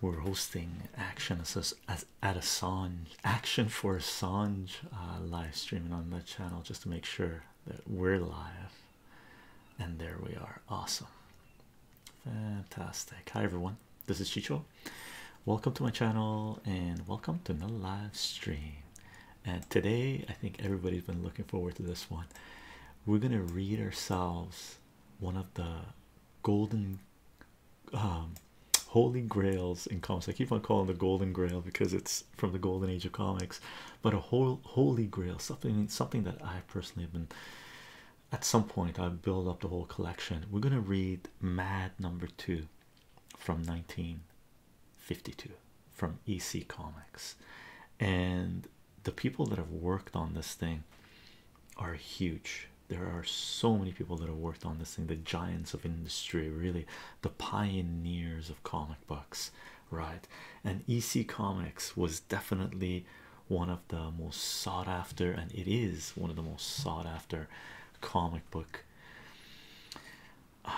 We're hosting action as at Assange action for Assange uh, live streaming on that channel just to make sure that we're live. And there we are. Awesome. Fantastic. Hi everyone. This is Chicho welcome to my channel and welcome to another live stream. And today, I think everybody's been looking forward to this one. We're gonna read ourselves one of the golden um, holy grails in comics. I keep on calling the golden grail because it's from the golden age of comics, but a whole holy grail, something something that I personally have been at some point I've built up the whole collection. We're gonna read Mad number two from 19 52 from EC Comics, and the people that have worked on this thing are huge. There are so many people that have worked on this thing, the giants of industry, really, the pioneers of comic books, right? And EC Comics was definitely one of the most sought after, and it is one of the most sought after comic book um,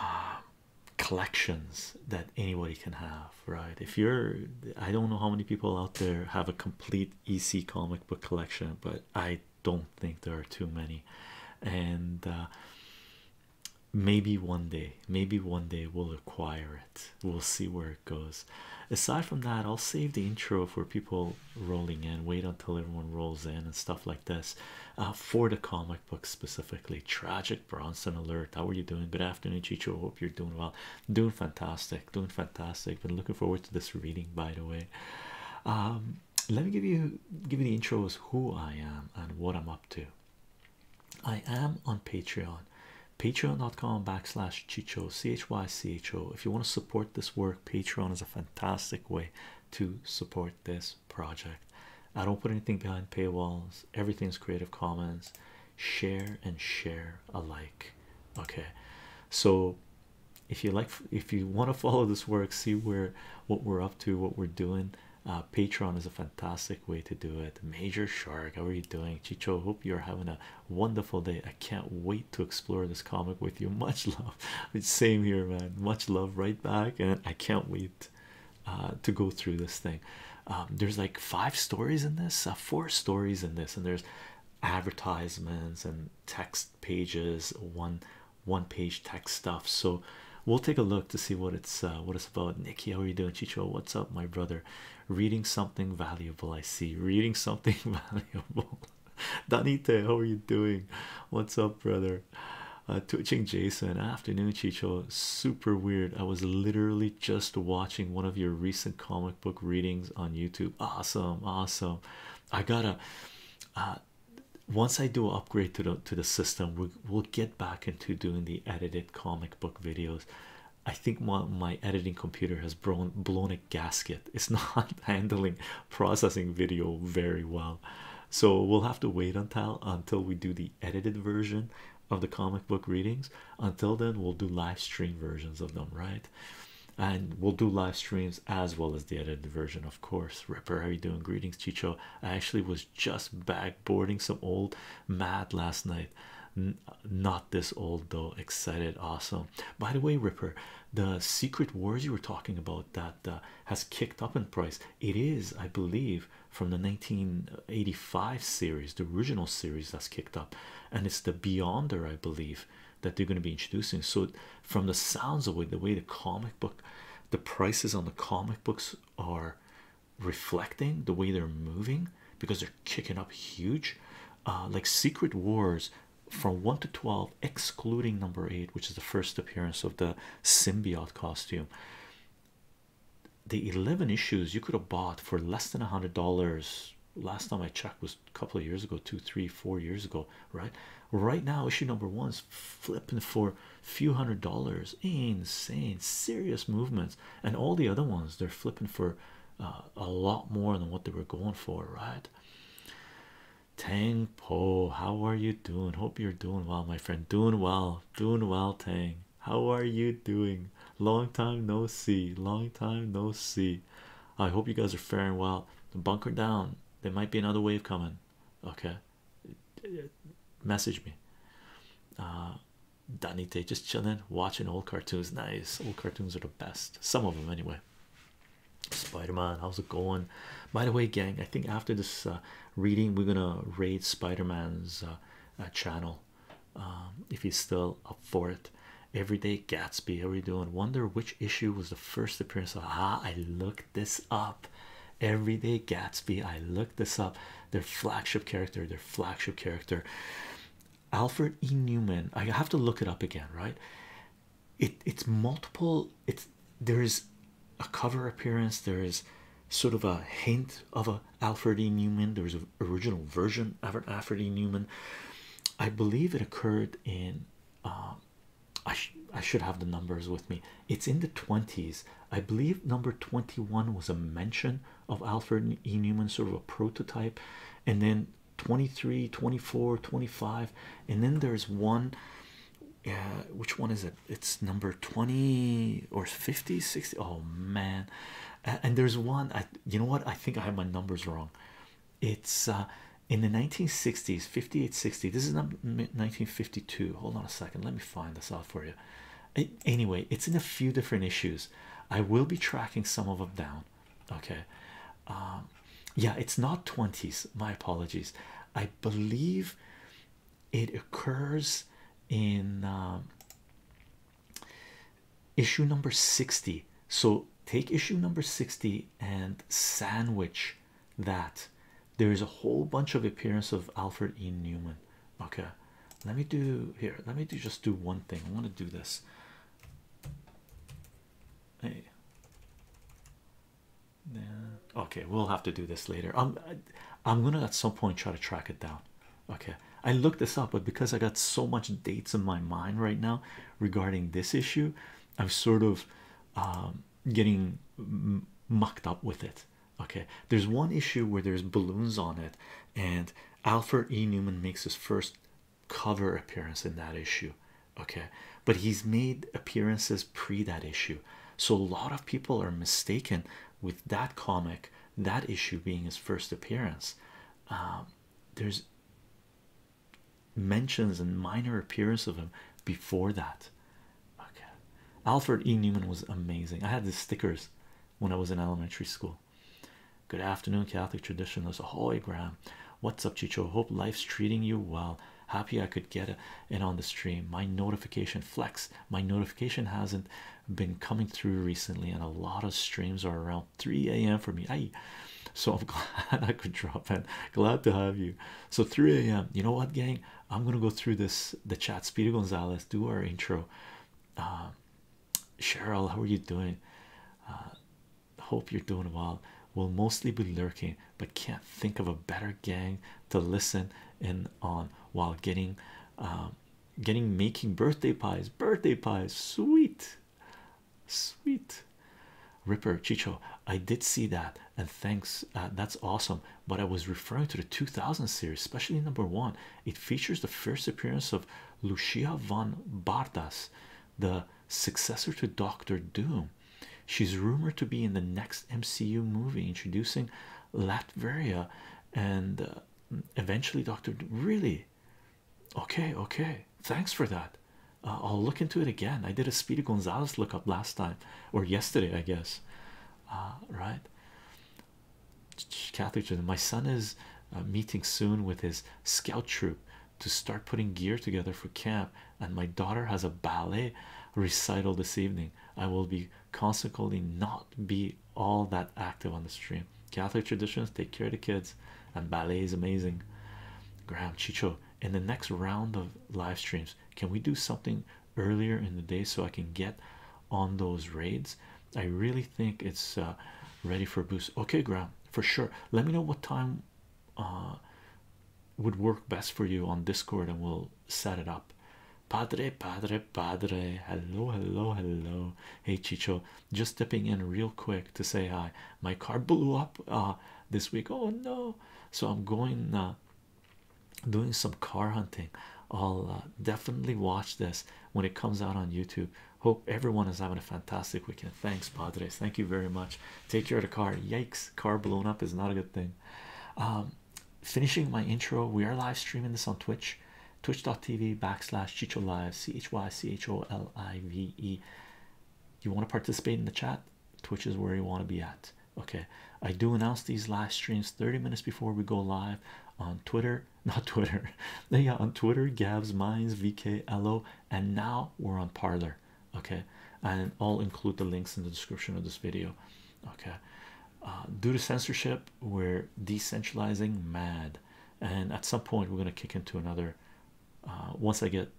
collections that anybody can have, right? If you're, I don't know how many people out there have a complete EC comic book collection, but I don't think there are too many. And uh, maybe one day, maybe one day we'll acquire it. We'll see where it goes. Aside from that, I'll save the intro for people rolling in. Wait until everyone rolls in and stuff like this uh, for the comic book specifically. Tragic Bronson Alert. How are you doing? Good afternoon, Chicho. Hope you're doing well. Doing fantastic. Doing fantastic. Been looking forward to this reading, by the way. Um, let me give you give you the intro as who I am and what I'm up to. I am on Patreon patreon.com backslash chicho chycho if you want to support this work patreon is a fantastic way to support this project. I don't put anything behind paywalls, everything's Creative Commons. Share and share alike. Okay, so if you like, if you want to follow this work, see where what we're up to, what we're doing. Uh, Patreon is a fantastic way to do it. Major Shark, how are you doing? Chicho, hope you're having a wonderful day. I can't wait to explore this comic with you. Much love. same here, man. Much love right back, and I can't wait uh, to go through this thing. Um, there's like five stories in this, uh, four stories in this, and there's advertisements and text pages, one one page text stuff. So we'll take a look to see what it's uh, what it's about. Nikki, how are you doing? Chicho, what's up, my brother? Reading something valuable, I see. Reading something valuable. Danite, how are you doing? What's up, brother? brother. Uh, twitching Jason, afternoon, Chicho. Super weird. I was literally just watching one of your recent comic book readings on YouTube. Awesome, awesome. I gotta. Uh, once I do upgrade to the to the system, we, we'll get back into doing the edited comic book videos. I think my my editing computer has blown blown a gasket. It's not handling processing video very well so we'll have to wait until until we do the edited version of the comic book readings until then we'll do live stream versions of them right and we'll do live streams as well as the edited version of course ripper how are you doing greetings chicho i actually was just backboarding some old mad last night not this old though excited awesome by the way ripper the secret wars you were talking about that uh, has kicked up in price it is, I believe, from the 1985 series, the original series that's kicked up, and it's the Beyonder, I believe, that they're going to be introducing. So, from the sounds of it, the way the comic book, the prices on the comic books are reflecting the way they're moving because they're kicking up huge, uh, like Secret Wars from 1 to 12, excluding number 8, which is the first appearance of the symbiote costume the 11 issues you could have bought for less than a hundred dollars last time i checked was a couple of years ago two three four years ago right right now issue number one is flipping for a few hundred dollars insane serious movements and all the other ones they're flipping for uh, a lot more than what they were going for right tang Young Po, how are you doing? Hope you're doing well, my friend. Doing well, doing well, Tang. How are you doing? Long time no see, long time no see. I hope you guys are faring well. Bunker down, there might be another wave coming. Okay, message me. Uh, Danite, just chilling, watching old cartoons. Nice, old cartoons are the best, some of them anyway. Spider-Man, how's it going? By the way, gang, I think after this uh, reading we're gonna raid spider-man's uh, uh, channel um, if he's still up for it everyday gatsby how are you doing wonder which issue was the first appearance of ah i looked this up everyday gatsby i looked this up their flagship character their flagship character alfred e newman i have to look it up again right it it's multiple it's there is a cover appearance there is sort of a hint of a alfred e newman there was an original version of an alfred e newman i believe it occurred in um, I, I should have the numbers with me it's in the 20s i believe number 21 was a mention of alfred e newman sort of a prototype and then 23 24 25 and then there's one uh, which one is it it's number 20 or 50 60 oh man and there's one i you know what i think i have my numbers wrong it's uh, in the 1960s 58 60 this is not 1952 hold on a second let me find this out for you anyway it's in a few different issues i will be tracking some of them down okay um, yeah it's not 20s my apologies i believe it occurs in um, issue number 60 so take issue number 60 and sandwich that there is a whole bunch of appearance of alfred e newman okay let me do here let me do just do one thing i want to do this hey yeah. Okay, we'll have to do this later. I'm, um, I'm gonna at some point try to track it down. Okay, I looked this up, but because I got so much dates in my mind right now regarding this issue, I'm sort of um, getting mucked up with it. Okay, there's one issue where there's balloons on it, and Alfred E. Newman makes his first cover appearance in that issue. Okay, but he's made appearances pre that issue. So a lot of people are mistaken with that comic, that issue being his first appearance. Um, there's mentions and minor appearance of him before that. Alfred E. Newman was amazing. I had the stickers when I was in elementary school. Good afternoon, Catholic traditionalist. Ahoy, Graham. What's up, Chicho? Hope life's treating you well. Happy I could get it in on the stream. My notification flex my notification hasn't been coming through recently and a lot of streams are around 3 a.m for me i so i'm glad i could drop in glad to have you so 3 a.m you know what gang i'm gonna go through this the chat speedy gonzalez do our intro uh, cheryl how are you doing uh, hope you're doing well we will mostly be lurking but can't think of a better gang to listen in on while getting uh, getting making birthday pies birthday pies sweet sweet ripper chicho i did see that and thanks uh, that's awesome but i was referring to the 2000 series especially number one it features the first appearance of lucia von bardas the successor to doctor doom she's rumored to be in the next mcu movie introducing Latveria, and uh, eventually Doctor. Really, okay, okay. Thanks for that. Uh, I'll look into it again. I did a Speedy Gonzalez up last time or yesterday, I guess. Uh, right. Catholic My son is meeting soon with his scout troop to start putting gear together for camp, and my daughter has a ballet recital this evening. I will be consequently not be all that active on the stream. Catholic traditions take care of the kids, and ballet is amazing. Graham Chicho, in the next round of live streams, can we do something earlier in the day so I can get on those raids? I really think it's uh, ready for a boost. Okay, Graham, for sure. Let me know what time uh, would work best for you on Discord, and we'll set it up. Padre, padre, padre. Hello, hello, hello. Hey, Chicho, just dipping in real quick to say hi. My car blew up uh, this week. Oh no! So I'm going uh, doing some car hunting. I'll uh, definitely watch this when it comes out on YouTube. Hope everyone is having a fantastic weekend. Thanks, Padres. Thank you very much. Take care of the car. Yikes! Car blown up is not a good thing. Um, finishing my intro, we are live streaming this on Twitch, twitch.tv backslash Chicho Live, C H Y C H O L I V E. You want to participate in the chat? Twitch is where you want to be at. Okay, I do announce these live streams 30 minutes before we go live on Twitter, not Twitter, They are on Twitter, Gabs, Minds, VK, Elo, and now we're on Parlor. Okay, and I'll include the links in the description of this video okay uh, due to censorship we're decentralizing mad and at some point we're going to kick into another uh, once i get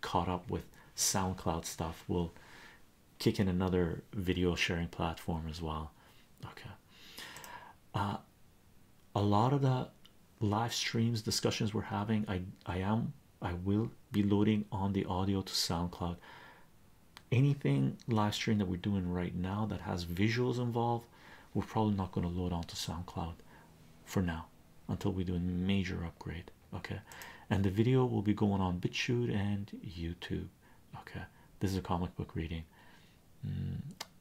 caught up with soundcloud stuff we'll kick in another video sharing platform as well okay uh, a lot of the live streams discussions we're having i i am i will be loading on the audio to soundcloud anything live stream that we're doing right now that has visuals involved we're probably not going to load onto soundcloud for now until we do a major upgrade okay and the video will be going on bitchute and youtube okay this is a comic book reading mm,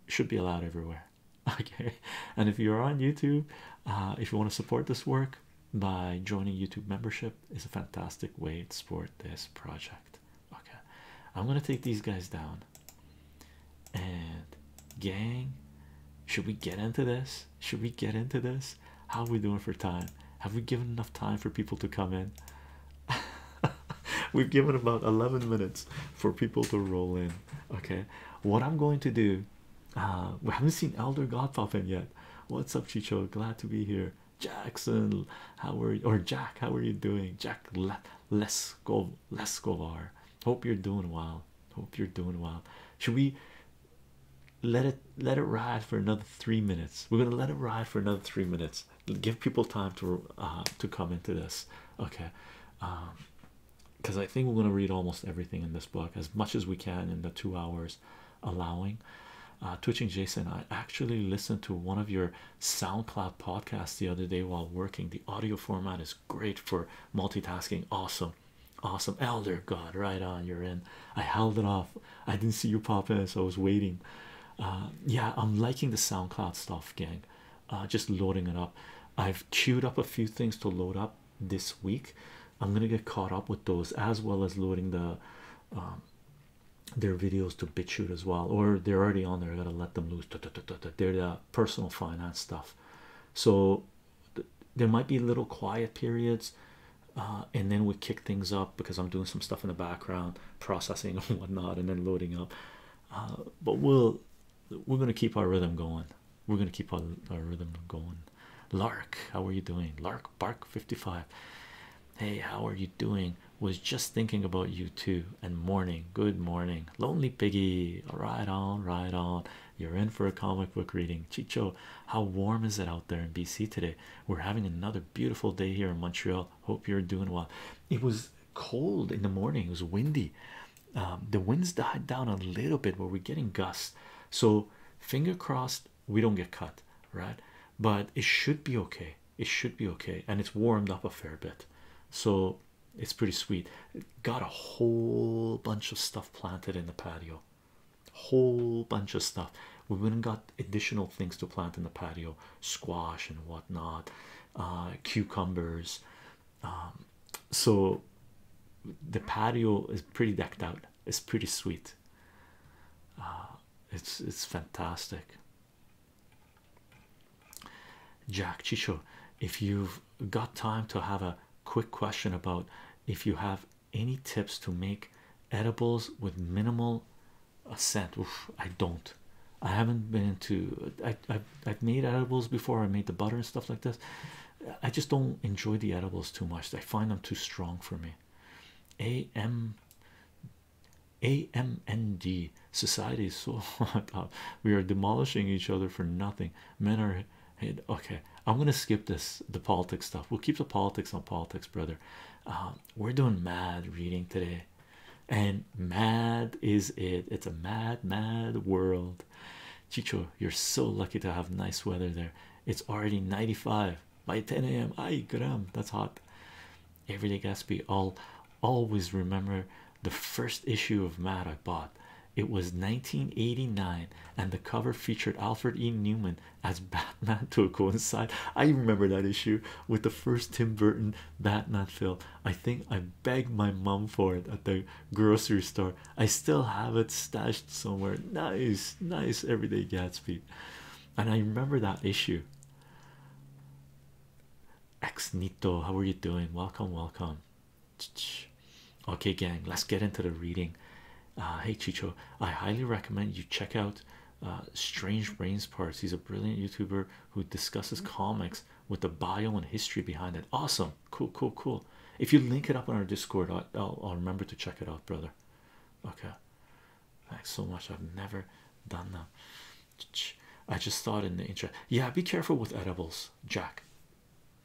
should be allowed everywhere okay and if you're on youtube uh, if you want to support this work by joining youtube membership is a fantastic way to support this project Okay, I'm gonna take these guys down. And gang, should we get into this? Should we get into this? How are we doing for time? Have we given enough time for people to come in? We've given about 11 minutes for people to roll in. Okay, what I'm going to do, uh, we haven't seen Elder God yet. What's up, Chicho? Glad to be here. Jackson, how are you? Or Jack, how are you doing? Jack Le Leskov Leskovar. Hope you're doing well. Hope you're doing well. Should we let it let it ride for another three minutes? We're gonna let it ride for another three minutes. Give people time to uh, to come into this. Okay. Um because I think we're gonna read almost everything in this book as much as we can in the two hours allowing. Uh, twitching Jason. I actually listened to one of your SoundCloud podcasts the other day while working. The audio format is great for multitasking. Awesome, awesome, Elder God. Right on, you're in. I held it off. I didn't see you popping, so I was waiting. Uh, yeah, I'm liking the SoundCloud stuff, gang. Uh, just loading it up. I've queued up a few things to load up this week. I'm gonna get caught up with those as well as loading the um, their videos to BitChute as well, or they're already on there. I gotta let them loose. They're the personal finance stuff, so there might be little quiet periods, uh, and then we kick things up because I'm doing some stuff in the background, processing and whatnot, and then loading up. Uh, but we'll we're gonna keep our rhythm going. We're gonna keep our rhythm going. Lark, how are you doing? Lark Bark 55. Hey, how are you doing? Was just thinking about you too. And morning, good morning, lonely piggy. Right on, right on. You're in for a comic book reading. Chicho, how warm is it out there in BC today? We're having another beautiful day here in Montreal. Hope you're doing well. It was cold in the morning, it was windy. Um, the winds died down a little bit, but we're getting gusts. So, finger crossed, we don't get cut, right? But it should be okay it should be okay and it's warmed up a fair bit so it's pretty sweet got a whole bunch of stuff planted in the patio whole bunch of stuff we went and got additional things to plant in the patio squash and whatnot uh, cucumbers um, so the patio is pretty decked out it's pretty sweet uh, it's it's fantastic Jack Chicho, if you've got time to have a quick question about if you have any tips to make edibles with minimal scent, I don't. I haven't been into. I I've made edibles before. I made the butter and stuff like this. I just don't enjoy the edibles too much. I find them too strong for me. A M AMND society is so oh We are demolishing each other for nothing. Men are Okay, I'm gonna skip this. The politics stuff. We'll keep the politics on politics, brother. Um, we're doing mad reading today, and mad is it. It's a mad, mad world. Chicho, you're so lucky to have nice weather there. It's already 95 by 10 a.m. I gram. That's hot. Everyday Gatsby. I'll always remember the first issue of Matt I bought. It was 1989, and the cover featured Alfred E. Newman as Batman to coincide. I remember that issue with the first Tim Burton Batman film. I think I begged my mom for it at the grocery store. I still have it stashed somewhere. Nice, nice everyday Gatsby. And I remember that issue. Ex Nito, how are you doing? Welcome, welcome. Okay, gang, let's get into the reading. Uh, hey, Chicho, I highly recommend you check out uh, Strange Brains Parts. He's a brilliant YouTuber who discusses mm-hmm. comics with the bio and history behind it. Awesome, cool, cool, cool. If you link it up on our Discord, I'll remember to check it out, brother. Okay, thanks so much. I've never done that. I just thought in the intro, yeah, be careful with edibles, Jack.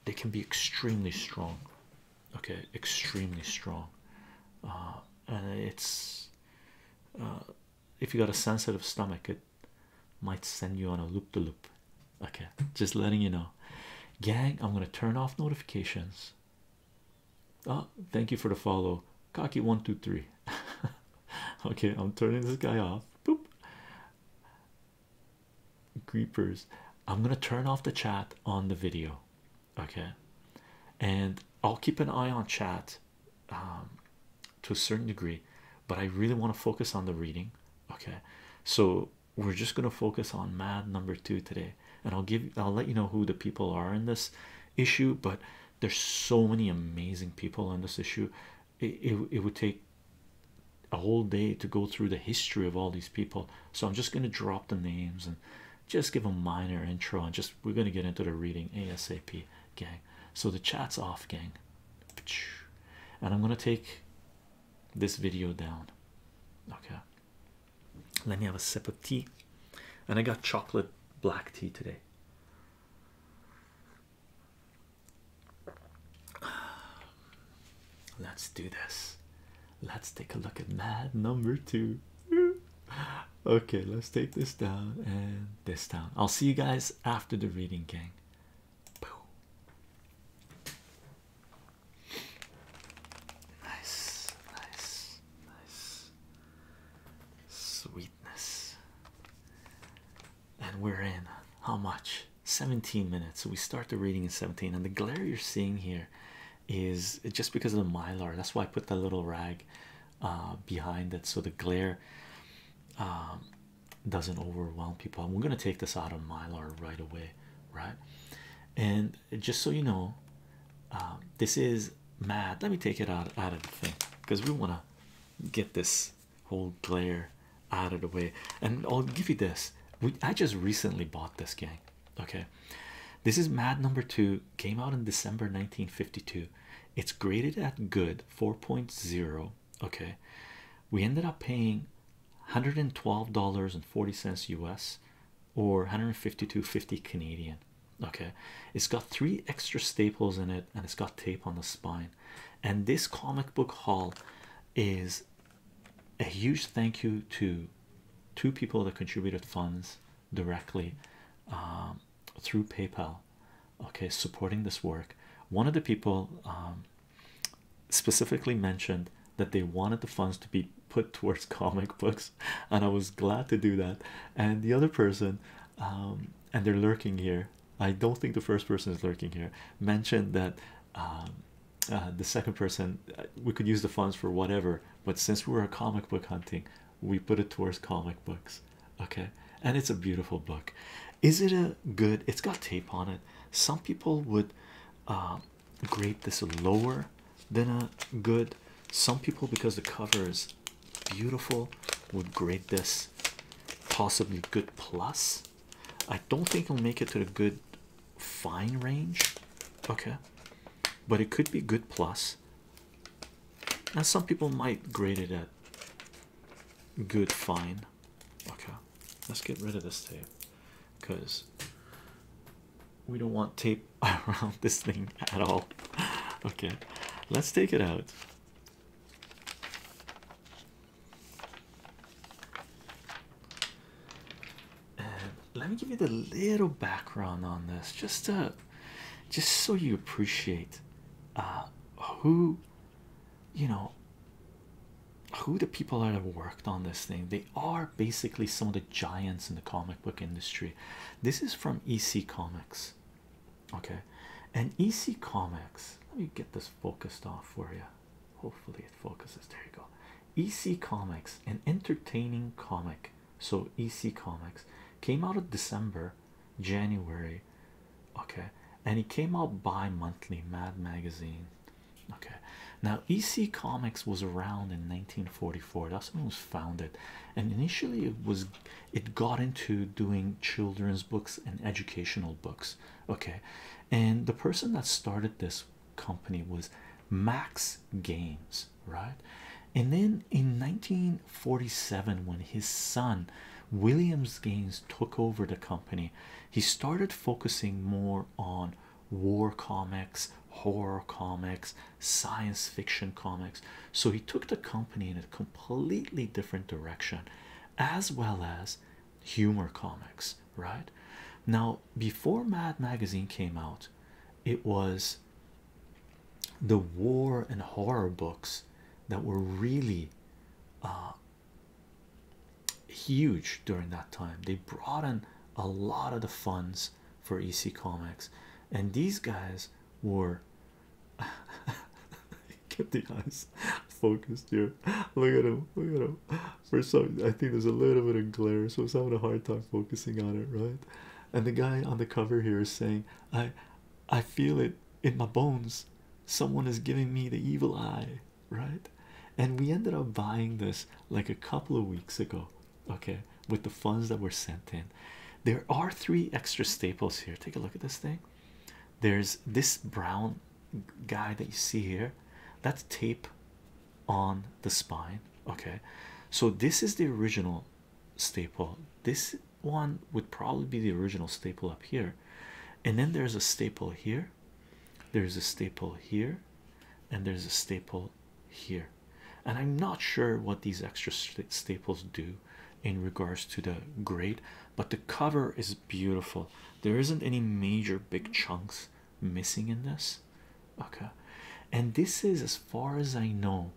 They can be extremely strong, okay, extremely strong, uh, and it's uh, if you got a sensitive stomach, it might send you on a loop the loop. Okay, just letting you know, gang. I'm gonna turn off notifications. Oh, thank you for the follow, cocky one two three okay i'm turning this guy off boop creepers i'm gonna turn off the chat on the video okay and i'll keep an eye on chat um, to a certain degree but i really want to focus on the reading okay so we're just gonna focus on mad number two today and i'll give i'll let you know who the people are in this issue but there's so many amazing people in this issue it, it, would take a whole day to go through the history of all these people so i'm just going to drop the names and just give a minor intro and just we're going to get into the reading asap gang so the chat's off gang and i'm going to take this video down okay let me have a sip of tea and i got chocolate black tea today Let's do this. Let's take a look at mad number two. okay, let's take this down and this down. I'll see you guys after the reading, gang. Nice, nice, nice. Sweet sweetness. And we're in how much? 17 minutes. So we start the reading in 17. And the glare you're seeing here is just because of the mylar. That's why I put that little rag uh, behind it so the glare um, doesn't overwhelm people. And we're going to take this out of mylar right away, right? And just so you know, um, this is mad. Let me take it out, out of the thing because we want to get this whole glare out of the way. And I'll give you this. We I just recently bought this game. Okay. This is Mad number two, came out in December 1952. It's graded at good 4.0. Okay. We ended up paying $112.40 US or 152.50 Canadian. Okay. It's got three extra staples in it and it's got tape on the spine and this comic book haul is a huge thank you to two people that contributed funds directly um, through PayPal okay supporting this work one of the people um, specifically mentioned that they wanted the funds to be put towards comic books and I was glad to do that and the other person um, and they're lurking here I don't think the first person is lurking here. Mentioned that um, uh, the second person uh, we could use the funds for whatever, but since we were comic book hunting, we put it towards comic books. Okay, and it's a beautiful book. Is it a good? It's got tape on it. Some people would um, grade this lower than a good. Some people because the cover is Beautiful would grade this possibly good plus. I don't think it'll make it to the good fine range, okay, but it could be good plus. Now some people might grade it at good fine. Okay, let's get rid of this tape because we don't want tape around this thing at all. Okay, let's take it out let me give you the little background on this, just to, just so you appreciate uh, who, you know, who the people that have worked on this thing. They are basically some of the giants in the comic book industry. This is from EC Comics okay and ec comics let me get this focused off for you hopefully it focuses there you go ec comics an entertaining comic so ec comics came out of december january okay and it came out bi-monthly mad magazine okay now ec comics was around in 1944 that's when it was founded and initially it was it got into doing children's books and educational books okay and the person that started this company was max games right and then in 1947 when his son williams Gaines, took over the company he started focusing more on war comics horror comics science fiction comics so he took the company in a completely different direction as well as humor comics right now before mad magazine came out it was the war and horror books that were really uh, huge during that time they brought in a lot of the funds for ec comics and these guys were Get the eyes focused here. Look at him. Look at him. For some, I think there's a little bit of glare, so I having a hard time focusing on it, right? And the guy on the cover here is saying, "I, I feel it in my bones. Someone is giving me the evil eye, right?" And we ended up buying this like a couple of weeks ago. Okay, with the funds that were sent in, there are three extra staples here. Take a look at this thing there's this brown guy that you see here that's tape on the spine okay so this is the original staple this one would probably be the original staple up here and then there's a staple here there's a staple here and there's a staple here and i'm not sure what these extra staples do in regards to the grade but the cover is beautiful. There isn't any major big chunks missing in this. Okay, and this is, as far as I know,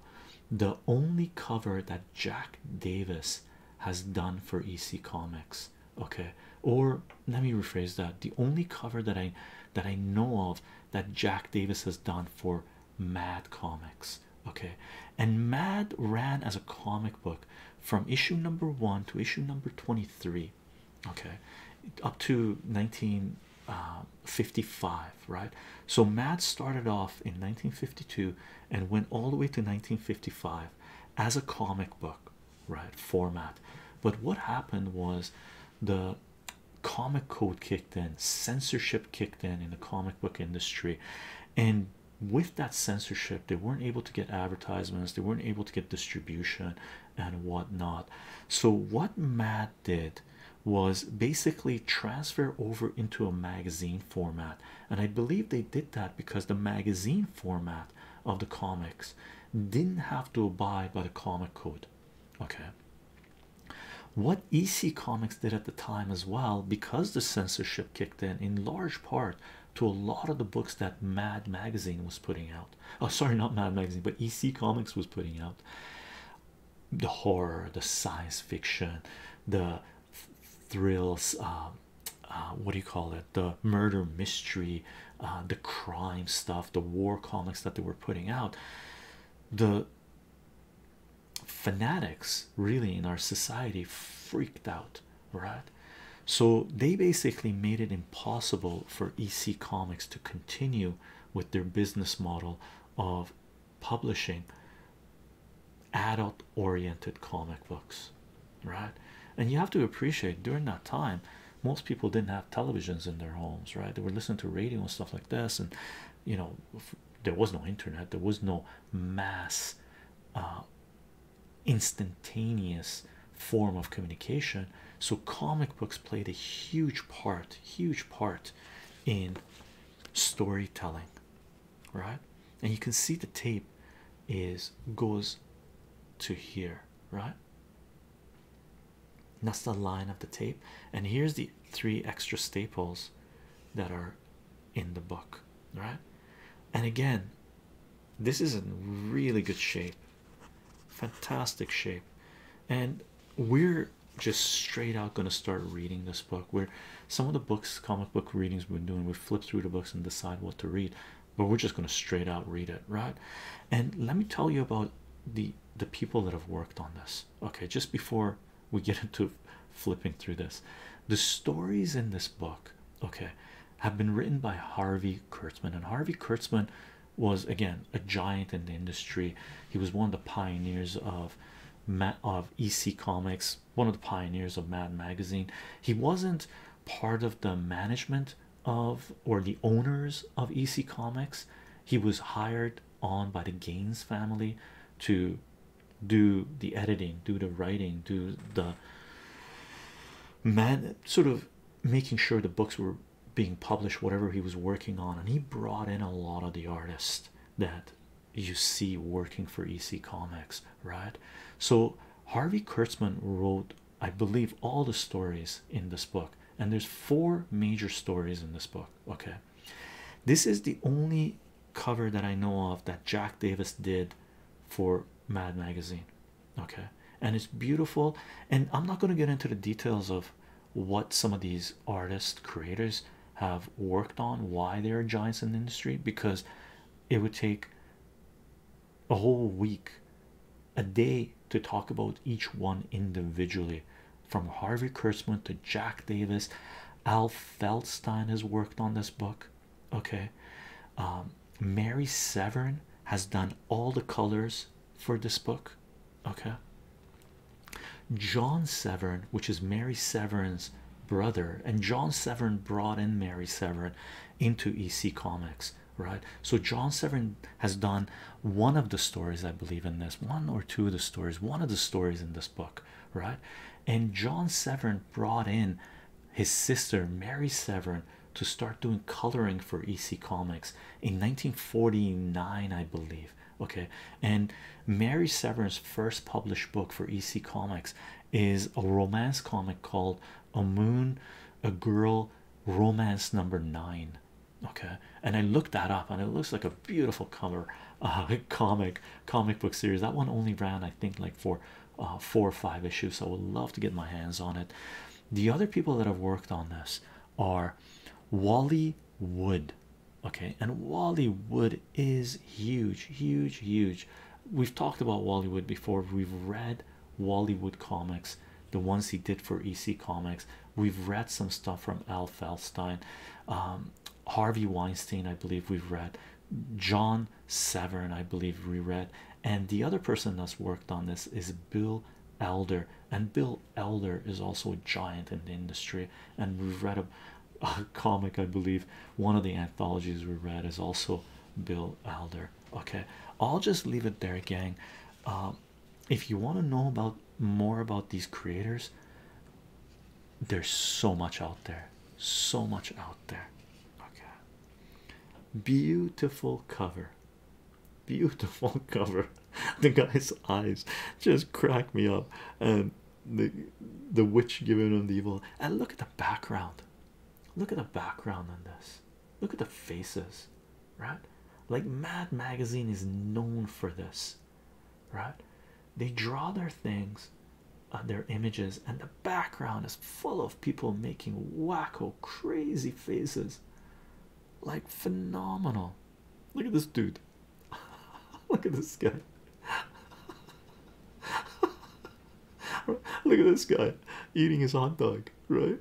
the only cover that Jack Davis has done for EC Comics. Okay, or let me rephrase that: the only cover that I that I know of that Jack Davis has done for Mad Comics. Okay, and Mad ran as a comic book from issue number one to issue number 23 okay up to 1955 uh, right so mad started off in 1952 and went all the way to 1955 as a comic book right format but what happened was the comic code kicked in censorship kicked in in the comic book industry and with that censorship they weren't able to get advertisements they weren't able to get distribution and whatnot so what matt did was basically transfer over into a magazine format and i believe they did that because the magazine format of the comics didn't have to abide by the comic code okay what ec comics did at the time as well because the censorship kicked in in large part to a lot of the books that Mad Magazine was putting out. Oh, sorry, not Mad Magazine, but EC Comics was putting out the horror, the science fiction, the thrills. Um, uh, what do you call it? The murder mystery, uh, the crime stuff, the war comics that they were putting out. The fanatics really in our society freaked out right? So they basically made it impossible for EC Comics to continue with their business model of publishing adult oriented comic books, right? And you have to appreciate during that time, most people didn't have televisions in their homes, right? They were listening to radio and stuff like this, and you know, there was no internet, there was no mass. Uh, instantaneous form of communication so comic books played a huge part huge part in storytelling right and you can see the tape is goes to here right that's the line of the tape and here's the three extra staples that are in the book right and again this is in really good shape, fantastic shape, and we're just straight out going to start reading this book. Where some of the books, comic book readings, we are doing, we flip through the books and decide what to read, but we're just going to straight out read it, right? And let me tell you about the the people that have worked on this. Okay, just before we get into flipping through this, the stories in this book. Okay, have been written by Harvey Kurtzman. And Harvey Kurtzman was again a giant in the industry. He was one of the pioneers of of EC Comics, one of the pioneers of Mad Magazine. He wasn't part of the management of or the owners of EC Comics. He was hired on by the Gaines family to do the editing, do the writing, do the man sort of making sure the books were being published whatever he was working on and he brought in a lot of the artists that you see working for ec comics right so harvey kurtzman wrote i believe all the stories in this book and there's four major stories in this book okay this is the only cover that i know of that jack davis did for mad magazine okay and it's beautiful and i'm not going to get into the details of what some of these artists creators have worked on why they are giants in the industry because it would take a whole week a day to talk about each one individually from harvey kurtzman to jack davis al feldstein has worked on this book okay um, Mary Severn has done all the colors for this book okay John Severn which is Mary Severn's brother and John Severn brought in Mary Severn into EC Comics right so John Severn has done one of the stories I believe in this one or two of the stories one of the stories in this book right and John Severn brought in his sister Mary Severn to start doing coloring for EC Comics in 1949, I believe. Okay, and Mary Severn's first published book for EC Comics is a romance comic called A Moon, a Girl Romance Number Nine. Okay, and I looked that up, and it looks like a beautiful cover, uh, comic comic book series. That one only ran, I think, like for uh, four or five issues. I would love to get my hands on it. The other people that have worked on this are Wally Wood, okay, and Wally Wood is huge, huge, huge. We've talked about Wally Wood before. We've read Wally Wood comics, the ones he did for EC Comics. We've read some stuff from Al Feldstein, um, Harvey Weinstein, I believe we've read. John Severn, I believe, We read and the other person that's worked on this is Bill Elder, and Bill Elder is also a giant in the industry. And we've read a, comic, I believe, one of the anthologies we read is also Bill Elder. Okay, I'll just leave it there, gang. Um, if you want to know about more about these creators, there's so much out there, so much out there. Okay. Beautiful cover. Beautiful cover. the guy's eyes just crack me up. And the the witch giving him the evil. And look at the background. Look at the background on this. Look at the faces, right? Like Mad Magazine is known for this, right? They draw their things, uh, their images, and the background is full of people making wacko crazy faces like phenomenal look at this dude look at this guy look at this guy eating his hot dog right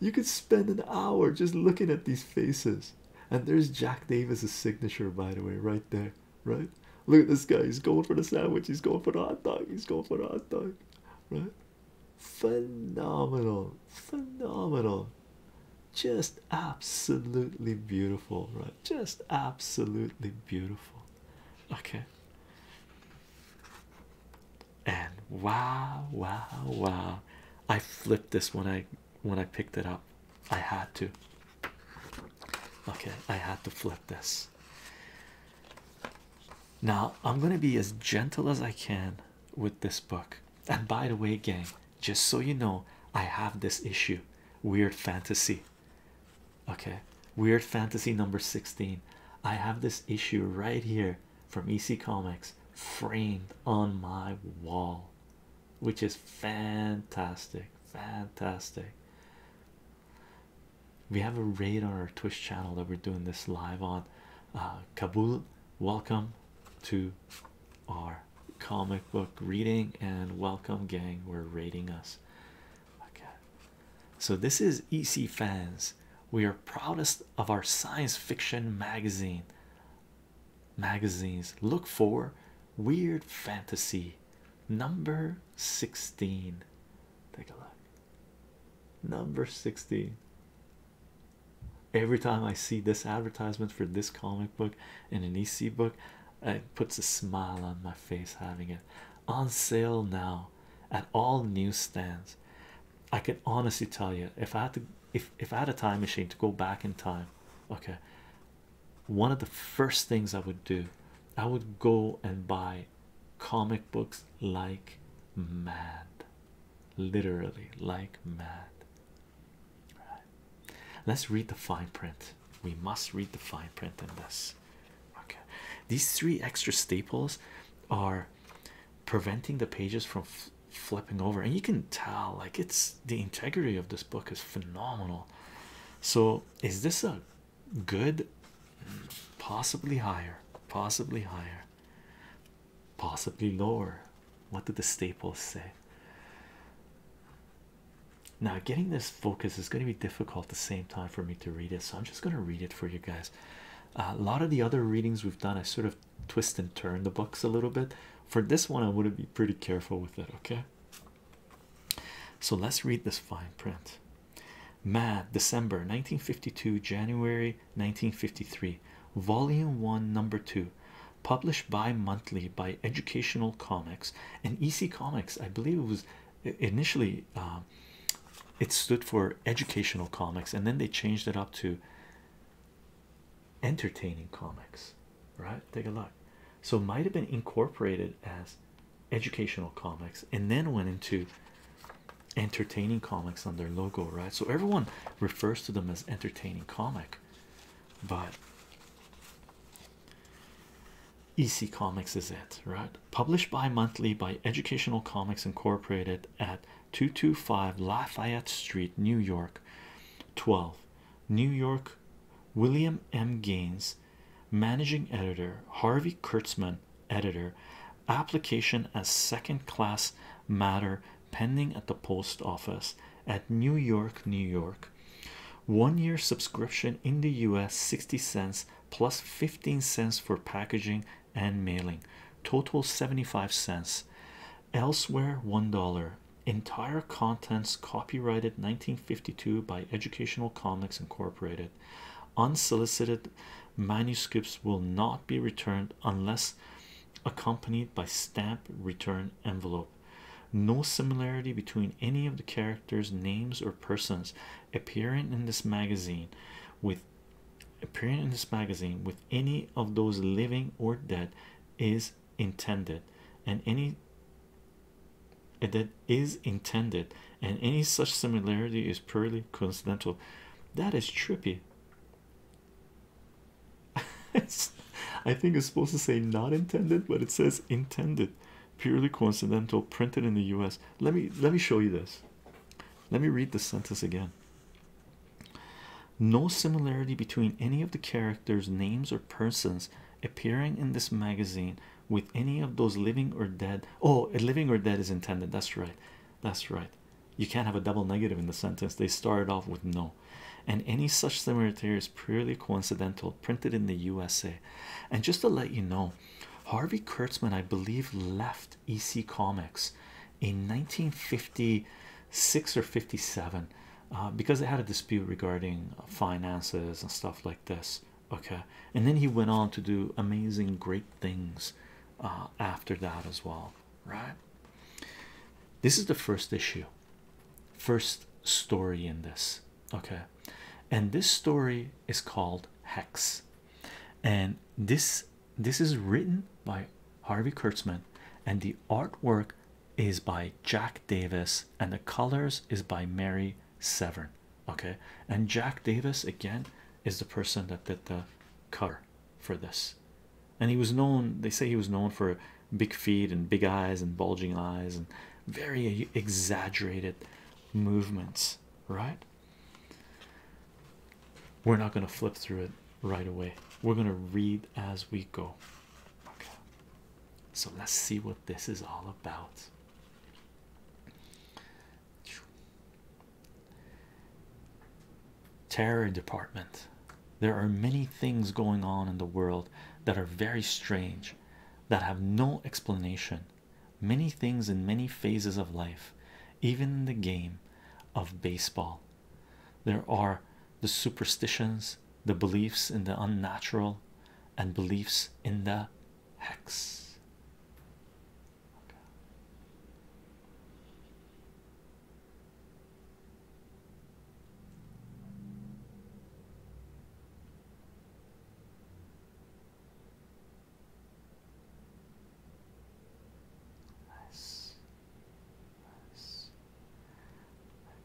you could spend an hour just looking at these faces and there's jack davis's signature by the way right there right look at this guy he's going for the sandwich he's going for the hot dog he's going for the hot dog right phenomenal phenomenal just absolutely beautiful right just absolutely beautiful okay and wow wow wow i flipped this when i when i picked it up i had to okay i had to flip this now, I'm going to be as gentle as I can with this book. And by the way, gang, just so you know, I have this issue Weird Fantasy. Okay, Weird Fantasy number 16. I have this issue right here from EC Comics framed on my wall, which is fantastic. Fantastic we have a raid on our Twitch channel that we're doing this live on. Uh, Kabul, welcome to our comic book reading and welcome, gang. We're raiding us. so this is EC fans. We are proudest of our science fiction magazine. Magazines look for weird fantasy number 16. Take a look. Number 60. Every time I see this advertisement for this comic book in an EC book, it puts a smile on my face having it on sale now at all newsstands. I can honestly tell you if I had to if if I had a time machine to go back in time, okay. One of the first things I would do, I would go and buy comic books like mad, literally like mad. Right. Let's read the fine print. We must read the fine print in this. Okay, these three extra staples are preventing the pages from flipping over, and you can tell like it's the integrity of this book is phenomenal. So, is this a good? Possibly higher, possibly higher possibly lower. What did the staples say? Now, getting this focus is going to be difficult at the same time for me to read it, so I'm just going to read it for you guys. a lot of the other readings we've done, I sort of twist and turn the books a little bit. For this one, I want to be pretty careful with it, okay? So let's read this fine print. Mad December 1952, January 1953 volume 1 number 2 published bi-monthly by educational comics and ec comics i believe it was initially uh, it stood for educational comics and then they changed it up to entertaining comics right take a look so it might have been incorporated as educational comics and then went into entertaining comics on their logo, right? So everyone refers to them as entertaining comic, but EC Comics is it, right? Published bi monthly by Educational Comics Incorporated at 225 Lafayette Street, New York. 12. New York, William M. Gaines, managing editor, Harvey Kurtzman, editor, application as second class matter pending at the post office at New York, New York. One year subscription in the US 60 cents plus 15 cents for packaging and mailing, total 75 cents. Elsewhere, $1. Entire contents copyrighted 1952 by Educational Comics Incorporated. Unsolicited manuscripts will not be returned unless accompanied by stamp return envelope no similarity between any of the characters names or persons appearing in this magazine with appearing in this magazine with any of those living or dead is intended and any that is intended and any such similarity is purely coincidental that is trippy I think it's supposed to say not intended, but it says intended. Purely coincidental, printed in the US. Let me let me show you this. Let me read the sentence again. No similarity between any of the characters, names, or persons appearing in this magazine with any of those living or dead. Oh, living or dead is intended. That's right. That's right. You can't have a double negative in the sentence. They started off with no, and any such similarity is purely coincidental, printed in the USA. And just to let you know, Harvey Kurtzman, I believe, left EC Comics in 1956 or 57 uh, because they had a dispute regarding finances and stuff like this. Okay, and then he went on to do amazing, great things uh, after that as well right? This is the first issue, first story in this, okay? And this story is called Hex, and this this is written by Harvey Kurtzman, and the artwork is by Jack Davis, and the colors is by Mary Severn. Okay, and Jack Davis again is the person that did the cover for this, and he was known. They say he was known for big feet and big eyes and bulging eyes and very exaggerated movements. Right? We're not going to flip through it right away. We're going to read as we go. Okay. So let's see what this is all about. Terror department. There are many things going on in the world that are very strange, that have no explanation. Many things in many phases of life, even in the game of baseball. There are the superstitions, the beliefs in the unnatural, and beliefs in the hex. Nice. Nice.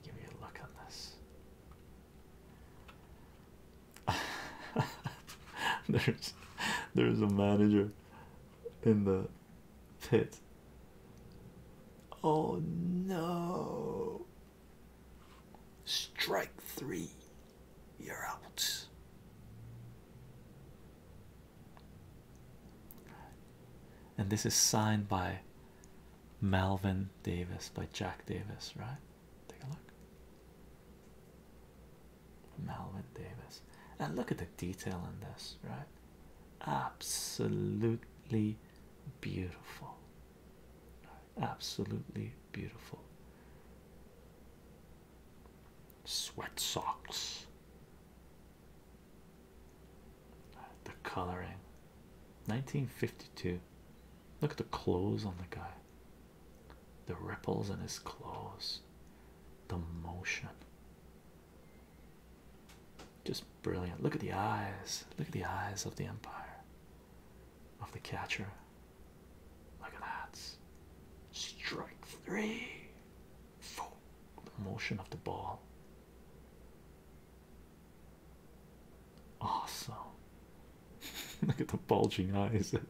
give you a look on this. there's there's a manager in the pit. Oh no. Strike three. You're out. And this is signed by Malvin Davis, by Jack Davis, right? Take a look. Malvin Davis. And look at the detail in this, right? absolutely beautiful absolutely beautiful sweat socks the coloring 1952 look at the clothes on the guy the ripples in his clothes the motion just brilliant. Look at the eyes. Look at the eyes of the Empire, of the catcher. Look at that. Strike three. Four. The motion of the ball. Awesome. Look at the bulging eyes.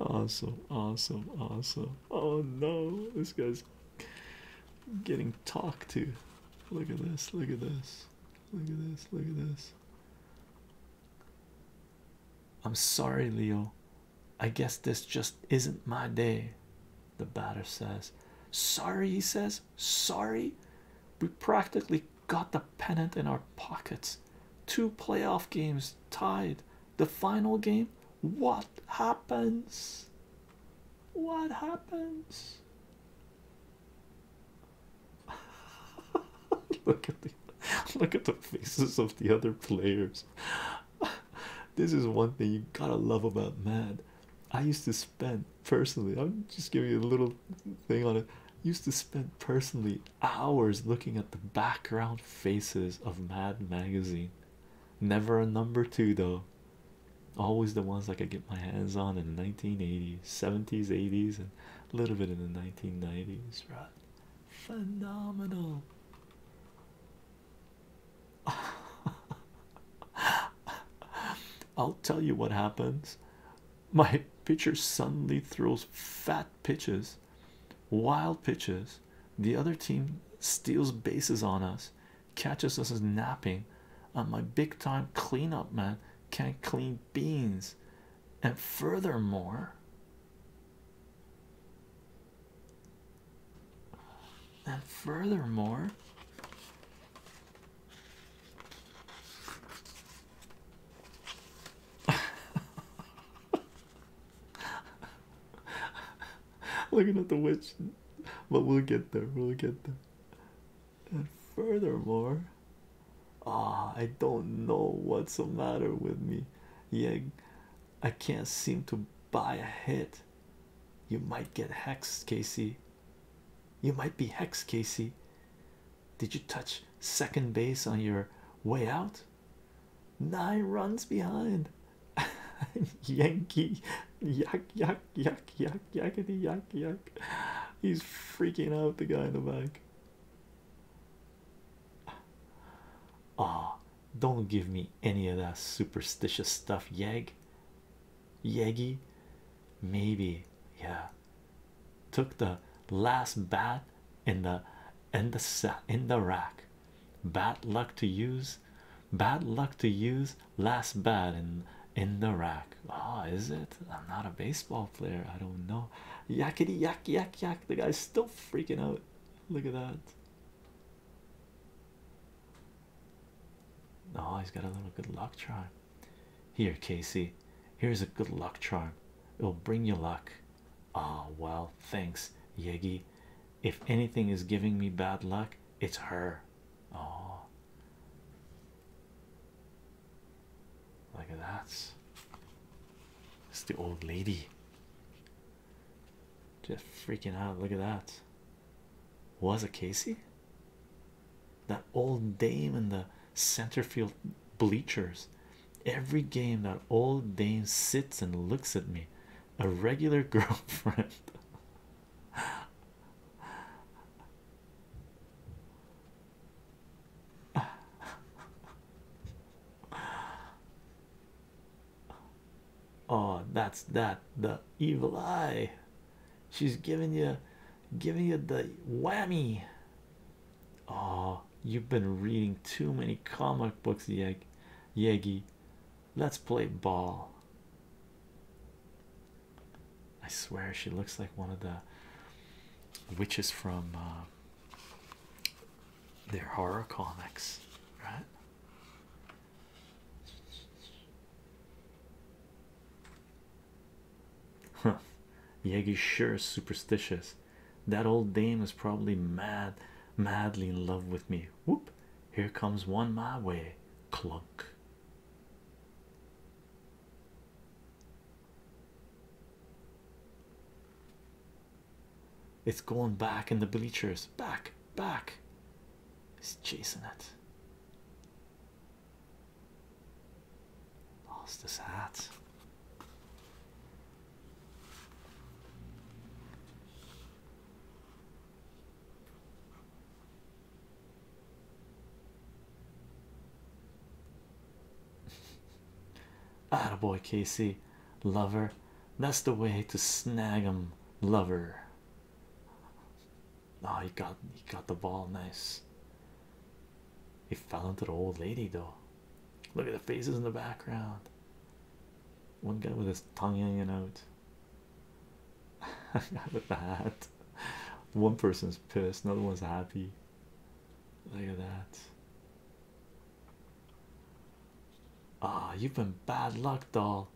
awesome, awesome, awesome. Oh no, this guy's getting talked to. Look at this, look at this, look at this, look at this. I'm sorry, Leo. I guess this just isn't my day. The batter says, Sorry, he says, sorry. We practically got the pennant in our pockets. Two playoff games tied, the final game what happens what happens look at the look at the faces of the other players this is one thing you gotta love about mad i used to spend personally i'm just giving you a little thing on it used to spend personally hours looking at the background faces of mad magazine Never a number two though. Always the ones I could get my hands on in the 1980s, 70s, 80s, and a little bit in the 1990s, right? Phenomenal. I'll tell you what happens. My pitcher suddenly throws fat pitches Wild pitches. The other team steals bases on us, catches us as napping. And my big time cleanup man can't clean beans. And furthermore, and furthermore, Looking at the witch, but we'll get there. We'll get there. And furthermore, ah, I don't know what's the matter with me. Yeah, I can't seem to buy a hit. You might get hexed, Casey. You might be hexed, Casey. Did you touch second base on your way out? Nine runs behind. Yankee, yuck, yuck, yuck, yuck, yuckity, yuck, yuck. He's freaking out. The guy in the back. Ah, oh, don't give me any of that superstitious stuff, Yeg. Yeggy, maybe, yeah. Took the last bat in the in the in the rack. Bad luck to use, bad luck to use last bat in in the rack. Ah, is it? I'm not a baseball player. I don't know. Yakety yak yak yak. The guy's still freaking out. Look at that. Ah, he's got a little good luck charm. Here, Casey. Here's a good luck charm. It'll bring you luck. Ah, well, thanks, Yegi if anything is giving me bad luck, it's her. Oh, look at that! It's the old lady. Just freaking out. Look at that. Was it Casey? That old dame in the center field bleachers. Every game, that old dame sits and looks at me a regular girlfriend. oh, that's that the evil eye. She's giving you giving you the whammy. Oh, you've been reading too many comic books, Yeg Yeggy. Let's play ball. I swear she looks like one of the witches from uh, their horror comics, right? Huh, Yegi sure superstitious. That old dame is probably mad, madly in love with me. Whoop, here comes one my way, clunk. It's going back in the bleachers, back, back. He's chasing it. Lost his hat. Ah, boy, Casey, lover. That's the way to snag him, lover. Oh, he got he got the ball, nice. He fell into the old lady, though. Look at the faces in the background. One guy with his tongue hanging out. with the hat. One person's pissed, another one's happy. Look at that. Ah, you've been bad luck, doll.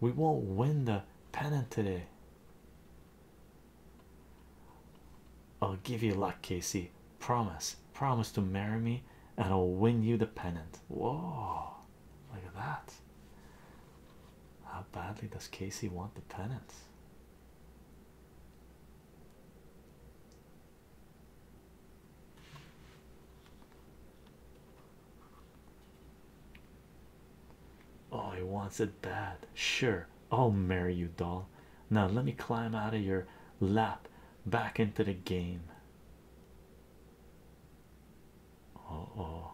We won't win the pennant today. I'll give you luck, Casey. Promise, promise to marry me, and I'll win you the pennant. Whoa, Look at that. How badly does Casey want the pennant? Oh, he wants it bad. Sure, I'll marry you, doll. Now let me climb out of your lap back into the game. Oh, oh.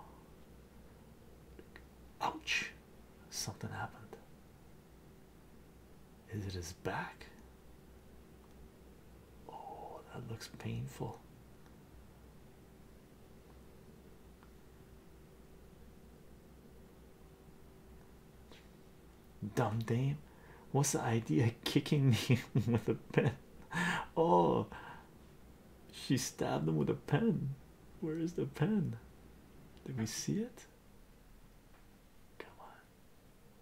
Ouch! Something happened. Is it his back? Oh, that looks painful. Dumb dame, what's the idea kicking me with a pen? oh, she stabbed him with a pen. Where is the pen? Did we see it? Come on.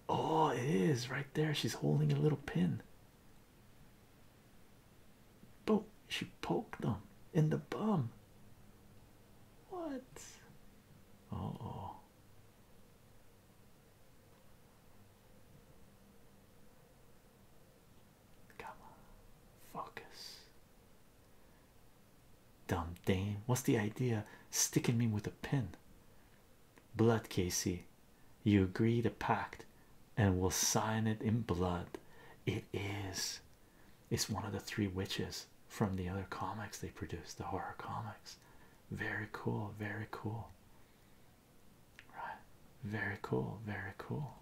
Oh, it is right there. She's holding a little pin. Boom. She poked them in the bum. What? oh. Come focus. Dumb dame, what's the idea? Sticking me with a pin. Blood, Casey. You agree to pact and we'll sign it in blood. It is. It's one of the three witches from the other comics they produce, the horror comics. Very cool, very cool. Right. Very cool. Very cool.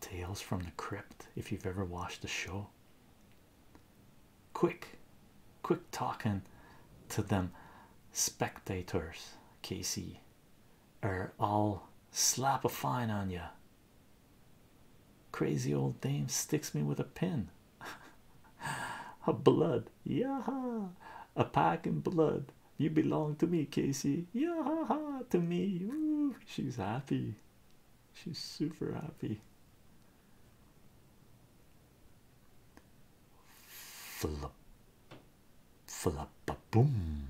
Tales from the Crypt. If you've ever watched the show, quick, quick talking to them spectators, Casey or I'll slap a fine on you. Crazy old dame sticks me with a pin. a blood, yeah, a pack in blood. You belong to me, Casey. ha ha, to me. Ooh, she's happy. She's super happy. Flip, flip, boom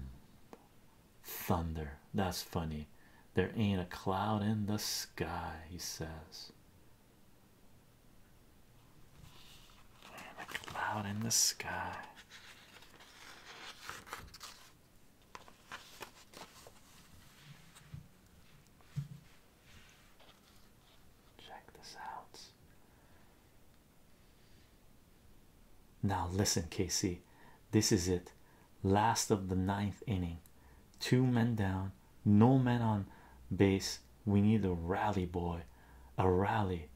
thunder. That's funny. There ain't a cloud in the sky, he says. a cloud in the sky. Check this out. Now, listen, Casey. This is it. Last of the ninth inning. Two men down, no men on base. We need a rally, boy. A rally.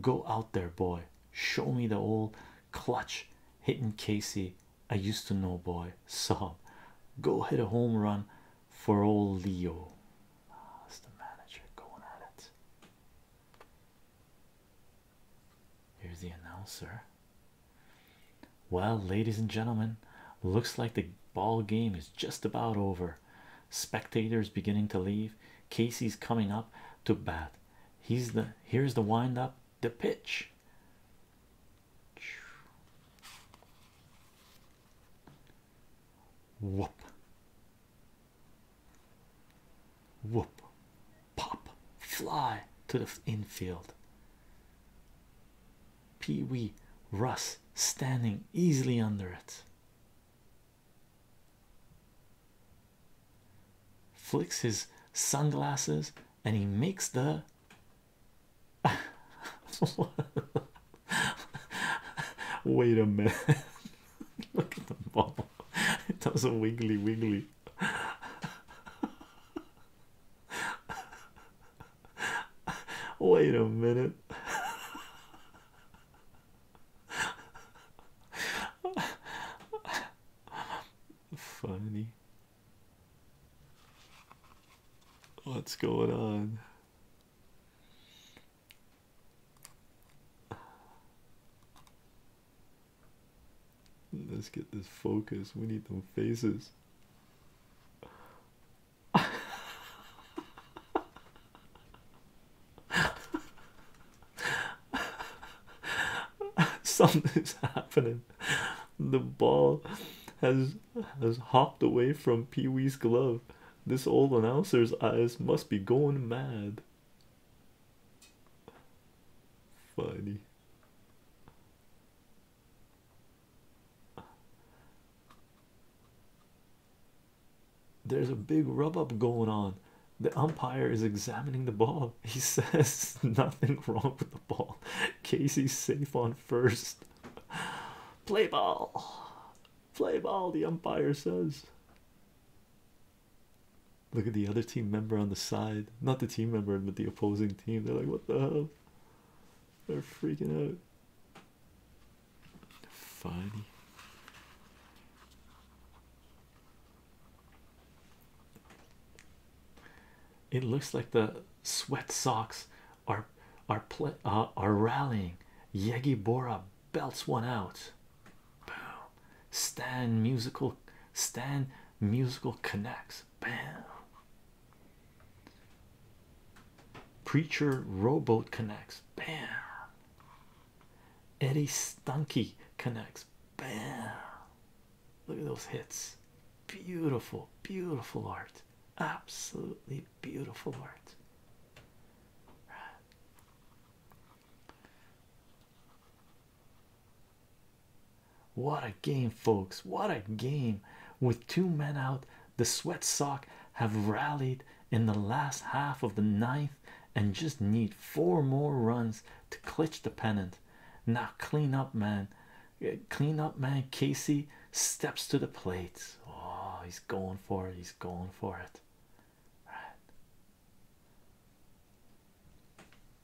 Go out there, boy. Show me the old clutch hitting Casey. I used to know, boy. Sob. Go hit a home run for old Leo. Ah, that's oh, the manager going at it. Here's the announcer. Well, ladies and gentlemen, looks like the ball game is just about over. Spectators beginning to leave. Casey's coming up to bat. He's the here's the wind up, the pitch. Whoop. Whoop, pop, fly to the infield. Pee Wee Russ standing easily under it. Flicks his sunglasses and he makes the. Wait a minute. Look at the ball. It does a wiggly wiggly. Wait a minute. Funny. What's going on? Let's get this focus. We need some faces. Something's happening. The ball has has hopped away from Pee Wee's glove. This old announcer's eyes must be going mad. Funny. There's a big rub up going on. The umpire is examining the ball. He says nothing wrong with the ball. Casey's safe on first. Play ball. Play ball, the umpire says. Look at the other team member on the side, not the team member, but the opposing team. They're like, What the hell? They're freaking out. Funny. It looks like the sweat socks are are play, uh, are rallying. Yegi Bora belts one out boom Stan musical Stan musical connects bam Preacher rowboat connects bam Eddie Stunky connects bam look at those hits beautiful beautiful art absolutely beautiful art what a game, folks! What a game! With two men out, the sweat sock have rallied in the last half of the ninth and just need four more runs to clinch the pennant. Now, clean up, man. Clean up, man. Casey steps to the plate. Oh, he's going for it. He's going for it. Right.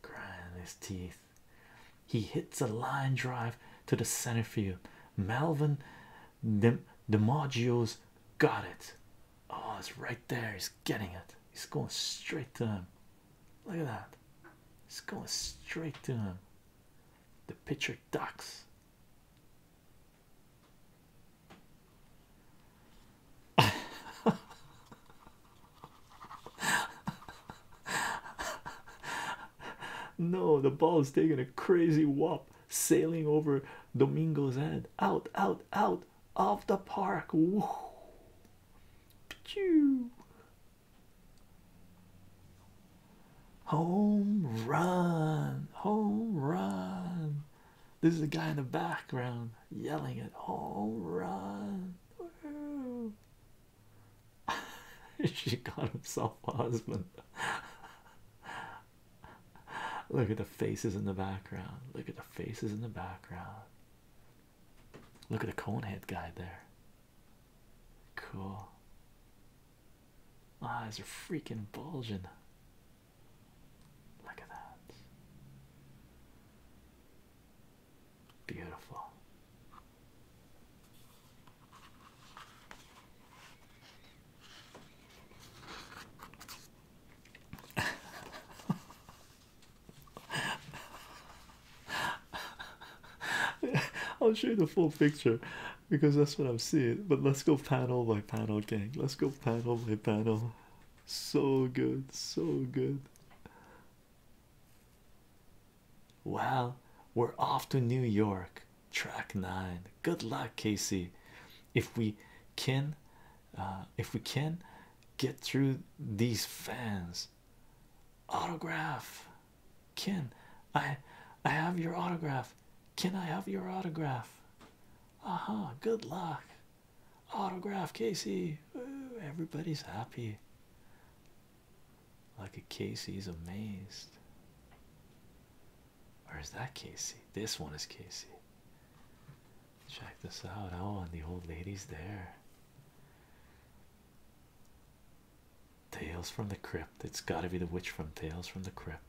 Grinding his teeth, he hits a line drive to the center field. Melvin the DiMaggio's got it. Oh, it's right there. He's getting it. He's going straight to him. Look at that. He's going straight to him. The pitcher ducks. no, the ball is taking a crazy whop, sailing over Domingo's head. Out, out, out of the park. Woo. Home run, home run. This is the guy in the background yelling at home run. she got herself a husband. Look at the faces in the background. Look at the faces in the background. Look at the conehead guy there. Cool. Eyes are freaking bulging. Look at that. Beautiful. I'll show you the full picture because that's what I'm seeing. But let's go panel by panel, gang. Let's go panel by panel. So good, so good. Well, we're off to New York, track nine. Good luck, Casey. If we can, uh, if we can get through these fans, autograph. Ken, I, I have your autograph. Can I have your autograph? Aha, good luck. Autograph Casey. Uh, everybody's happy. Like a Casey's amazed. Where is that Casey? This one is Casey. Check this out. Oh, and the old lady's there. Tales from the Crypt. It's got to be the witch from Tales from the Crypt.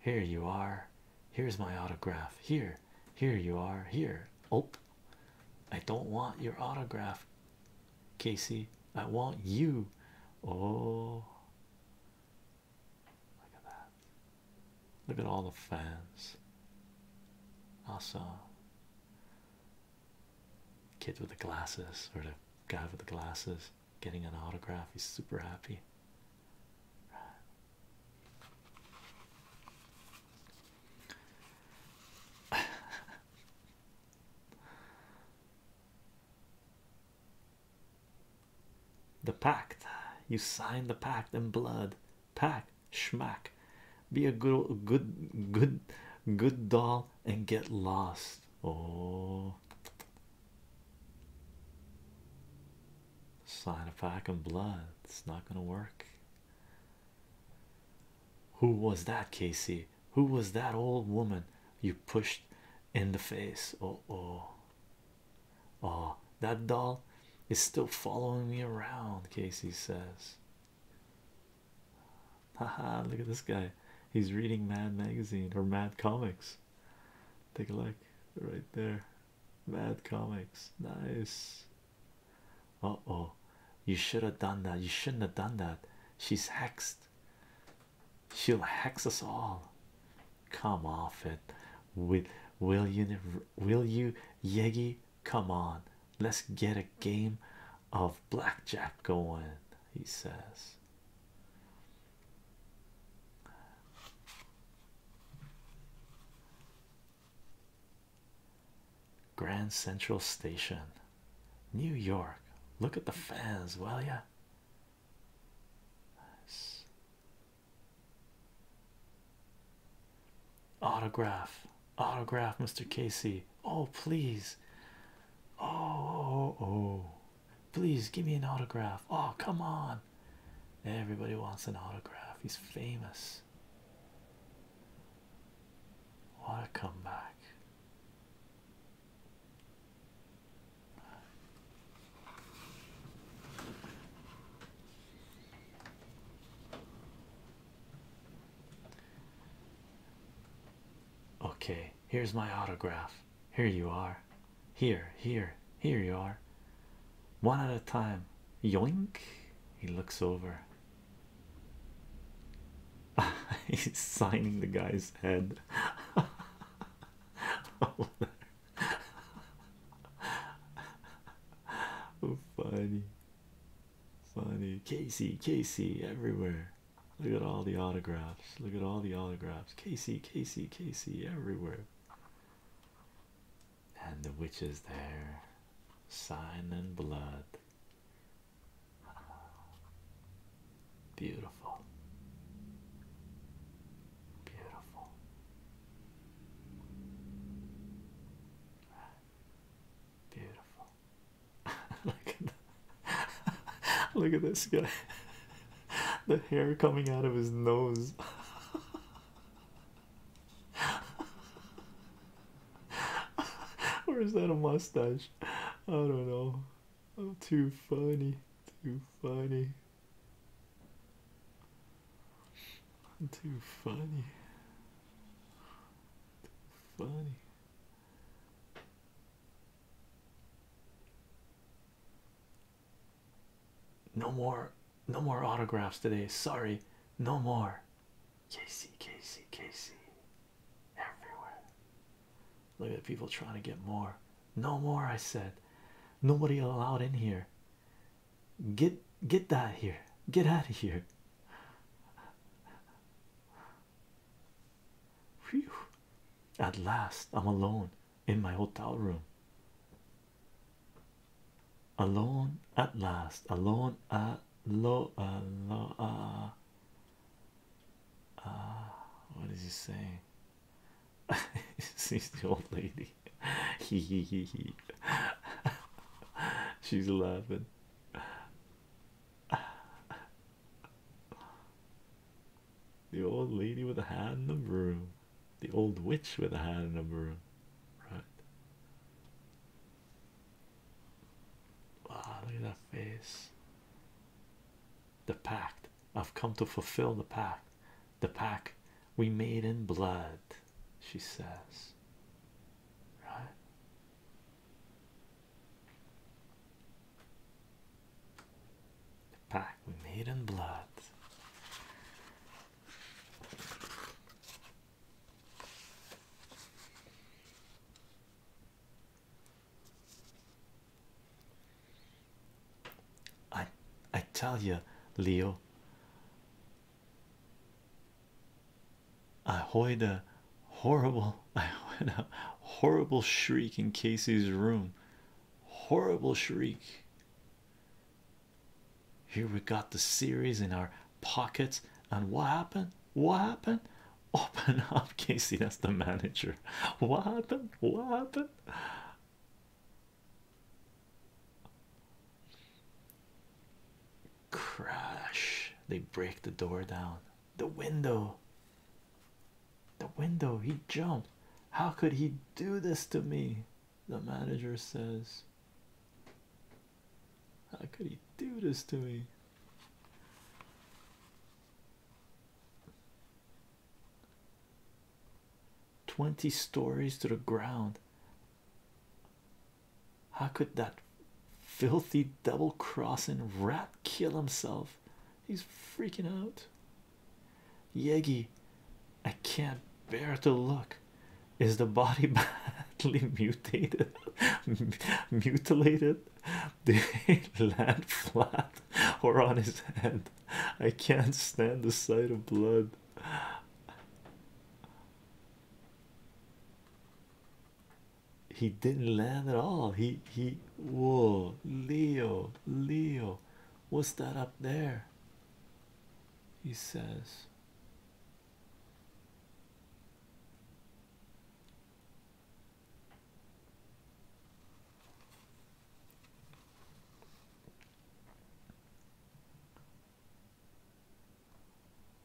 Here you are. Here's my autograph. Here, here you are. Here. Oh, I don't want your autograph, Casey. I want you. Oh, look at that. Look at all the fans. Awesome. Kids with the glasses, or the guy with the glasses, getting an autograph. He's super happy the pact you signed. the pact in blood Pact schmack be a good good good good doll and get lost oh sign a pack in blood it's not gonna work who was that, Casey? Who was that old woman you pushed in the face? Oh, oh, oh, that doll is still following me around, Casey says. Haha, look at this guy, he's reading Mad Magazine or Mad Comics. Take a look right there. Mad Comics, nice. Oh oh, you should have done that. You shouldn't have done that. She's hexed. She'll hex us all. Come off it. With will you? Will you, Yegi? Come on. Let's get a game of blackjack going. He says. Grand Central Station, New York. Look at the fans, will ya? Nice. Autograph, autograph, Mr. Casey. Oh, please. Oh oh, oh, oh, please give me an autograph. Oh, come on. Everybody wants an autograph. He's famous. What a comeback! Okay, here's my autograph. Here you are. Here, here, here you are. One at a time. Yoink. He looks over. He's signing the guy's head. oh, funny, funny. Casey, Casey, everywhere. Look at all the autographs. Look at all the autographs. Casey, Casey, Casey, everywhere and the witch is there, sign and blood. Beautiful, beautiful. Beautiful. look at look at this guy. the hair coming out of his nose. Where is that a mustache? I don't know. Oh, too funny. Too funny. Too funny. Too funny. No more, no more autographs today. Sorry, no more. Kc kc kc everywhere. Look at people trying to get more. No more, I said. Nobody allowed in here. Get get that here. Get out of here. Whew. At last, I'm alone in my hotel room alone at last alone at low uh, low uh, uh, what is he saying She's the old lady he he he he she's laughing the old lady with a hand in the broom the old witch with a hand in the broom right Wow, ah, look at that face. The pact. I've come to fulfill the pact. The pact we made in blood, she says. Right. The pact we made in blood. I I tell you, Leo. I heard a horrible, I heard a horrible shriek in Casey's room. Horrible shriek. Here we got the series in our pockets. And what happened? What happened? Open up, Casey. That's the manager. What happened? What happened? Crash. They break the door down. The window. The window. He jumped. How could he do this to me? The manager says. How could he do this to me? Twenty stories to the ground. How could that filthy double crossing rat kill himself? He's freaking out. Yegi, I can't bear to look. Is the body badly mutated? Mutilated? Did he land flat or on his head? I can't stand the sight of blood. He didn't land at all. He he whoa Leo Leo what's that up there? He says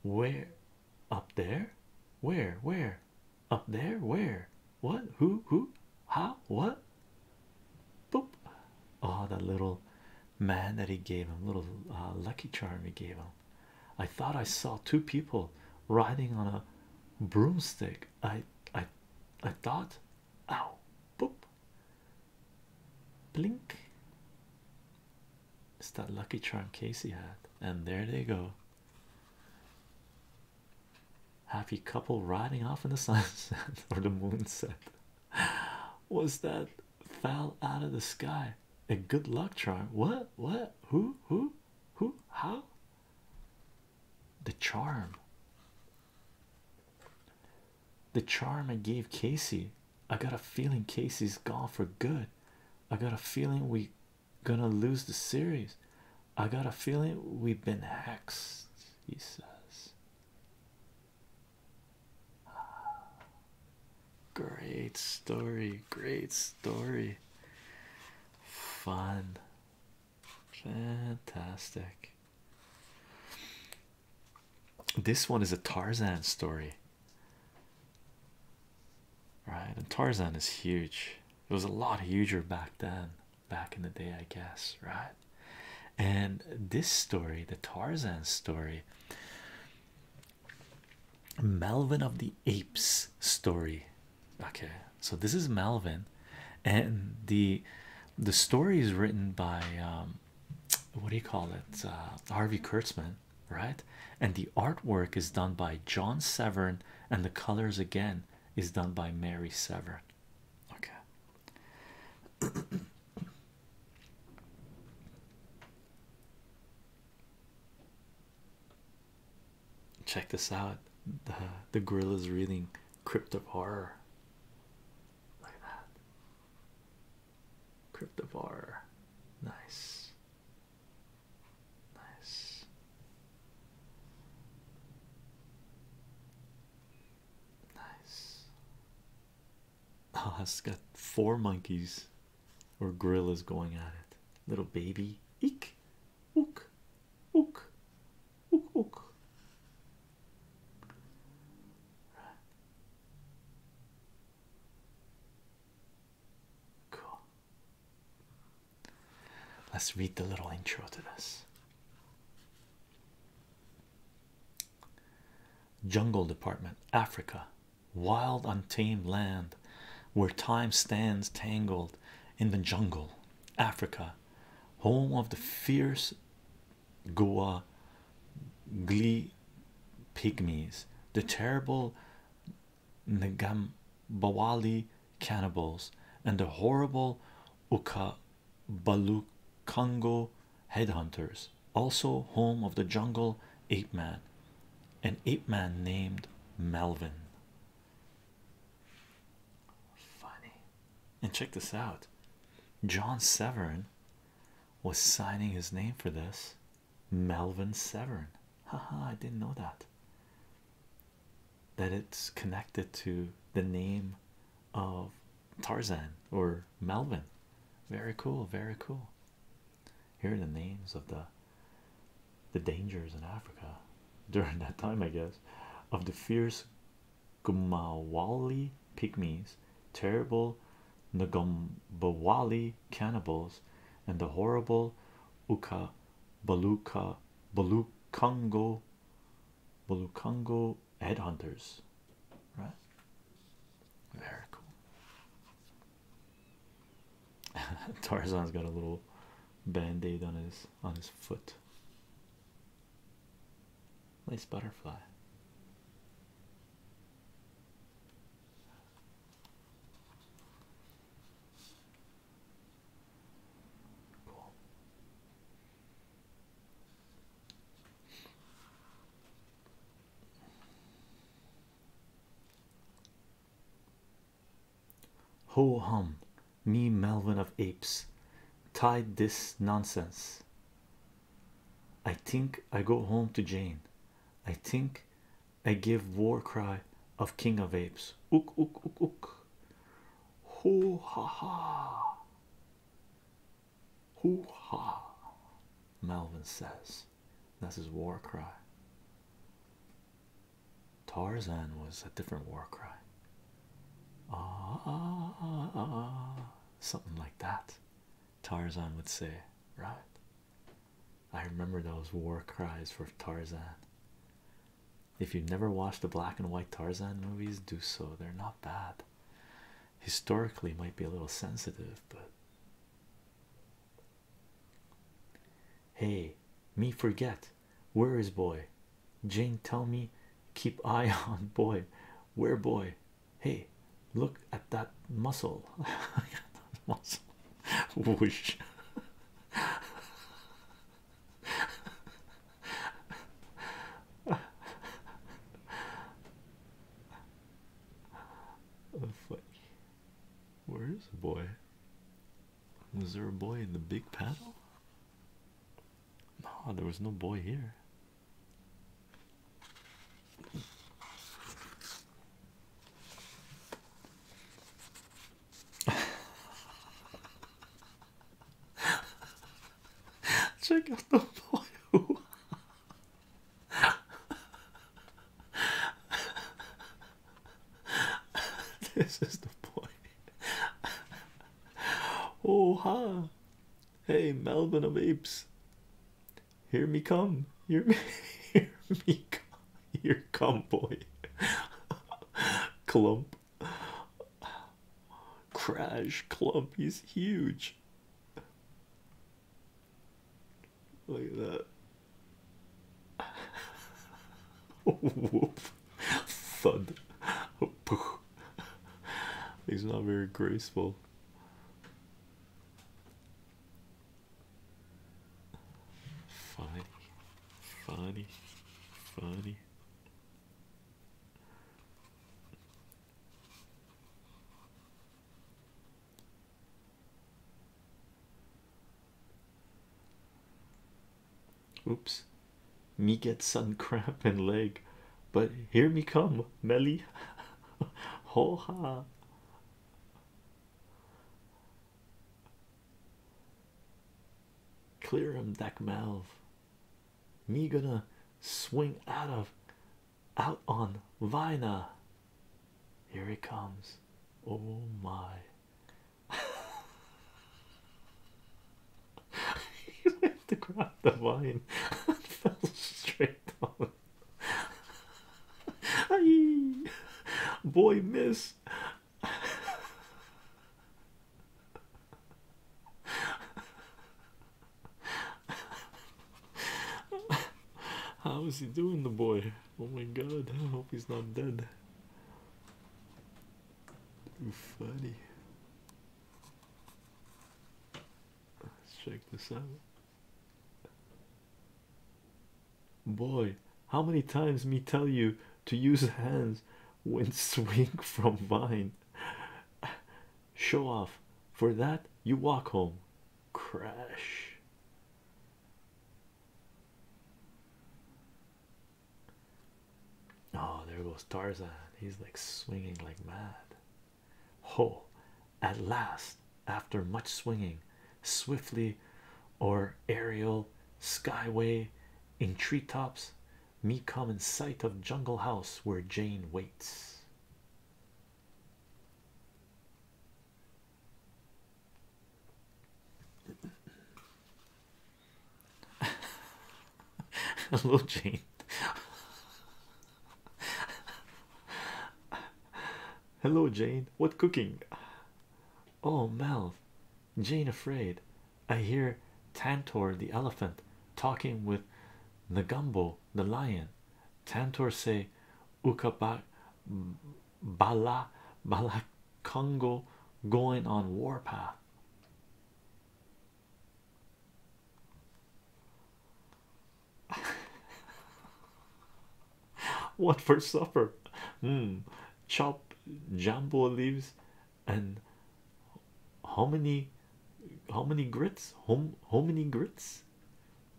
where up there? Where, where up there? Where what? Who, who, how, what? Boop. Oh, that little man that he gave him, little uh, lucky charm he gave him. I thought I saw two people riding on a broomstick. I I I thought ow boop blink it's that lucky charm Casey had and there they go happy couple riding off in the sunset or the moonset was that fell out of the sky. A good luck charm. What? What? Who? Who? Who? How? The charm. The charm I gave Casey. I got a feeling Casey's gone for good. I got a feeling we are gonna lose the series. I got a feeling we've been hexed, he says. Great story, great story. Fun, fantastic. This one is a Tarzan story, right? And Tarzan is huge, it was a lot huger back then, back in the day, I guess, right? And this story, the Tarzan story, Malvin of the Apes story. Okay, so this is Malvin, and the the story is written by um, what do you call it? Uh, Harvey Kurtzman, right? And the artwork is done by John Severn, and the colors again is done by Mary Severn. Okay. Check this out. The the is reading Crypt of Like that. Crypt of Nice. Nice. Nice. Oh, it's got four monkeys or grill going at it. Little baby, eek, ook, ook, ook, ook. Cool. Let's read the little intro to this. Jungle Department, Africa, wild, untamed land where time stands tangled in the jungle, Africa, home of the fierce Goa Glee pygmies, the terrible Bawali cannibals, and the horrible Balukongo headhunters, also home of the jungle ape man, an ape man named Melvin. Funny, and check this out John Severn was signing his name for this Melvin Severn. Haha, I didn't know that. That it's connected to the name of Tarzan or Melvin. Very cool, very cool. Here are the names of the the dangers in Africa during that time, I guess, of the fierce Gumawali pygmies, terrible Ngombawali cannibals, and the horrible Uka Baluka Balukongo Balukongo headhunters. Right? Very cool. Tarzan's got a little band-aid on his on his foot. Nice butterfly. Cool. Ho hum, me Melvin of apes, tied this nonsense. I think I go home to Jane. I think I give war cry of King of Apes. Ook, ook, ook, ook. Ho ha ha. Ho ha. Melvin says. That's his war cry. Tarzan was a different war cry. Ah, ah, ah, ah, ah, something like that. Tarzan would say, right? I remember those war cries for Tarzan. If you've never watched the black and white Tarzan movies, do so. They're not bad. Historically, might be a little sensitive, but Hey, me forget. Where is boy? Jane, tell me, keep eye on boy. Where boy? Hey, look at that muscle. that muscle. Whoosh. Where is boy? Was there a boy in the big paddle? No, there was no boy here. Check out the boy who this is the point. oh Hey, Melvin of Apes, hear me come, hear me, hear me come, here come, boy. Clump, crash, clump. He's huge. Look at that. Whoop. Thud. He's not very graceful. Funny, funny, funny. Oops, me get sun cramp in leg, but here me come, Melly. Ho ha. Clear him, that malv. Me gonna swing out of out on Vina. Here he comes. Oh my he went to grab the vine and fell straight on. Boy, miss. How is he doing, the boy? Oh my god, I hope he's not dead. Too funny. Let's check this out. Boy, how many times me tell you to use hands when swing from vine? Show off. For that, you walk home. Crash. Oh, there goes Tarzan. He's like swinging like mad. Ho! At last, after much swinging, swiftly or aerial, skyway, in treetops, me come in sight of jungle house where Jane waits. Hello, Jane. Hello, Jane. What cooking? Oh, Mel. Jane afraid. I hear Tantor the elephant talking with Nagumbo the lion. Tantor say, Ukabak Bala Bala Congo going on warpath. what for supper? Hmm. Chop jumbo leaves and how many how many grits? how many grits?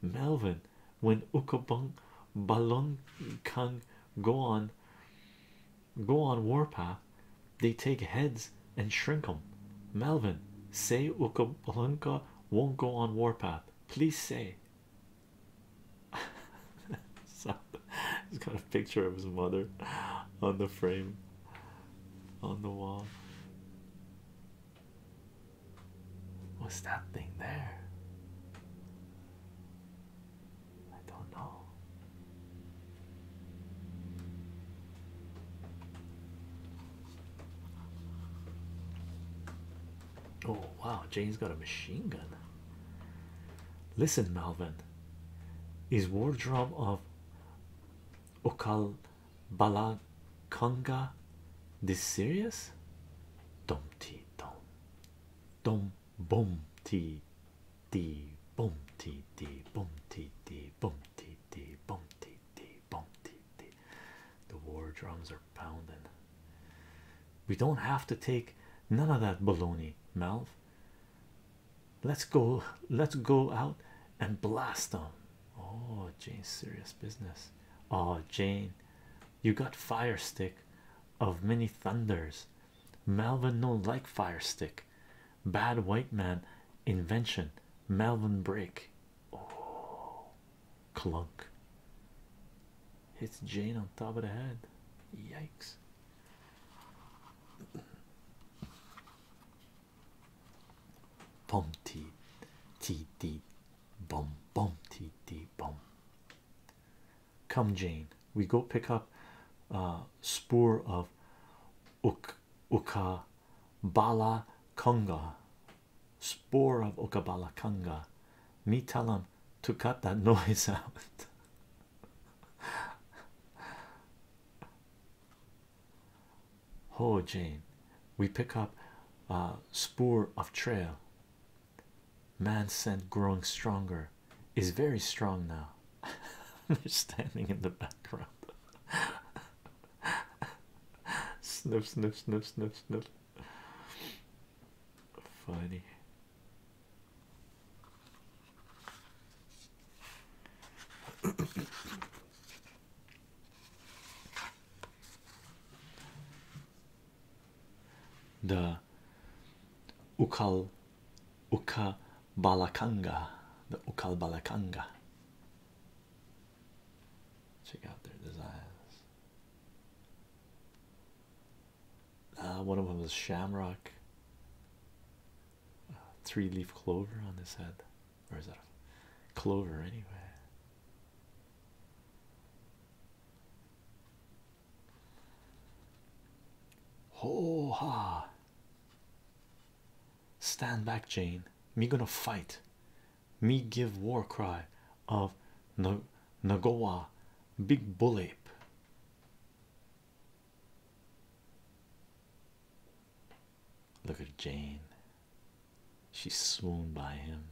Melvin when Ukabung Balong Kang go on Go on warpath. They take heads and shrink them. Melvin, say Ukabalunka won't go on warpath. Please say. so, he's got a picture of his mother on the frame on the wall. What's that thing there? I don't know. Oh, wow, Jane's got a machine gun. Listen, Malvin, is wardrobe of Okal Balakonga this serious? Dumpty dum, dum, boom t d boom t d boom t d boom t d boom t d boom t d the war drums are pounding we don't have to take none of that baloney Malv let's go let's go out and blast them oh Jane, serious business oh Jane you got fire stick of many thunders Melvin no like fire stick. Bad white man invention. Malvin break. Oh, clunk. Hits Jane on top of the head. Yikes. Pom tee tee tee bum bum tee tee bum. Come, Jane, we go pick up uh, spoor of Uk bala Conga, spoor of bala Conga. Me tell him to cut that noise out. Ho, Jane, we pick up uh, spoor of trail. Man scent growing stronger is very strong now. They're standing in the background. sniff, sniff, sniff, sniff, sniff. Funny. the Ukal Ukal Balakanga, the Ukal Balakanga. Check out their designs. Uh, one of them is shamrock, uh, three leaf clover on his head, or is that a clover anyway? Ho ha! Stand back, Jane. Me gonna fight. Me give war cry of Nagawa big bull ape. Look at Jane. She swooned by him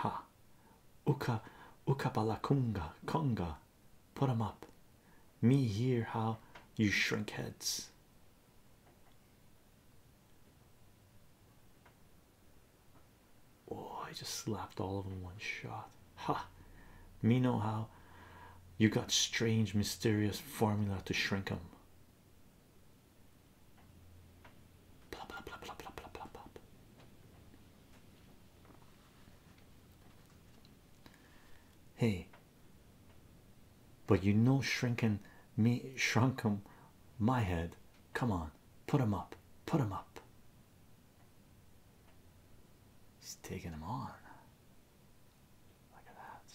ha uka ukapalakunga conga put them up me hear how you shrink heads oh i just slapped all of 'em one shot ha me know how you got strange, mysterious formula to shrink them. Blah, blah, blah, blah, blah, blah, blah, blah. Hey, but you know, shrinking me, shrunk him, my head. Come on, put him up, put him up. He's taking him on. Look at that.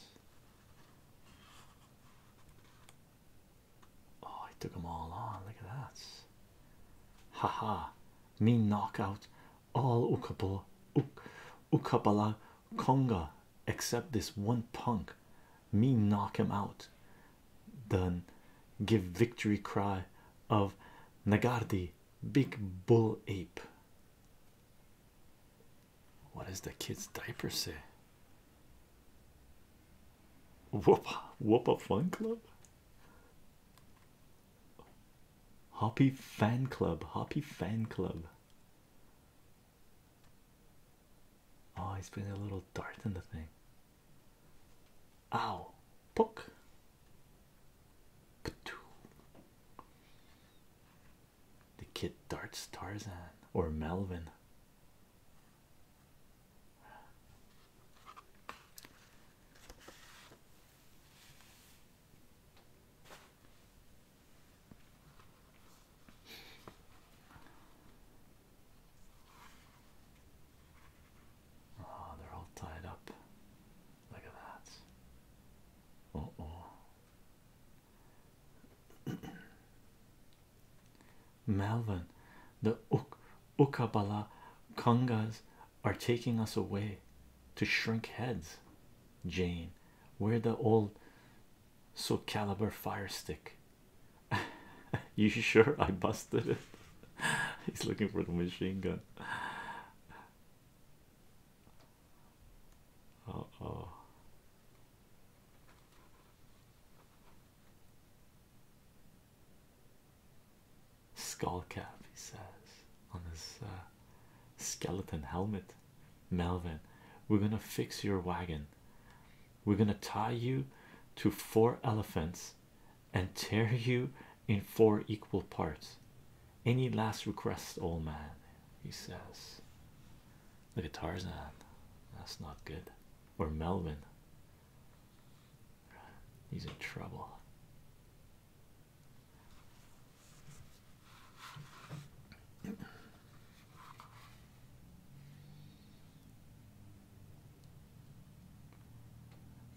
Oh, I took all on. Look at that. Haha, -ha. me knock out all Ukabala, Uk Ukabala Conga except this one punk. Me knock him out. Then give victory cry of Nagardi, big bull ape. What does the kid's diaper say? Whoop whoop a fun club. Hoppy fan club, Hoppy fan club. Oh, he's putting a little dart in the thing. Ow, Puck! poke. The kid darts Tarzan or Melvin. Oh, they're all tied up. Look at that. oh. Melvin, the Ukabala Kongas are taking us away to shrink heads. Jane, where the old so caliber fire stick. you sure I busted it? He's looking for the machine gun. Uh oh. Skull cap, he says on his uh, skeleton helmet. Melvin, we're gonna fix your wagon. We're gonna tie you to four elephants and tear you in four equal parts. Any last requests, old man? He says. Look at Tarzan. That's not good. Or Melvin. He's in trouble.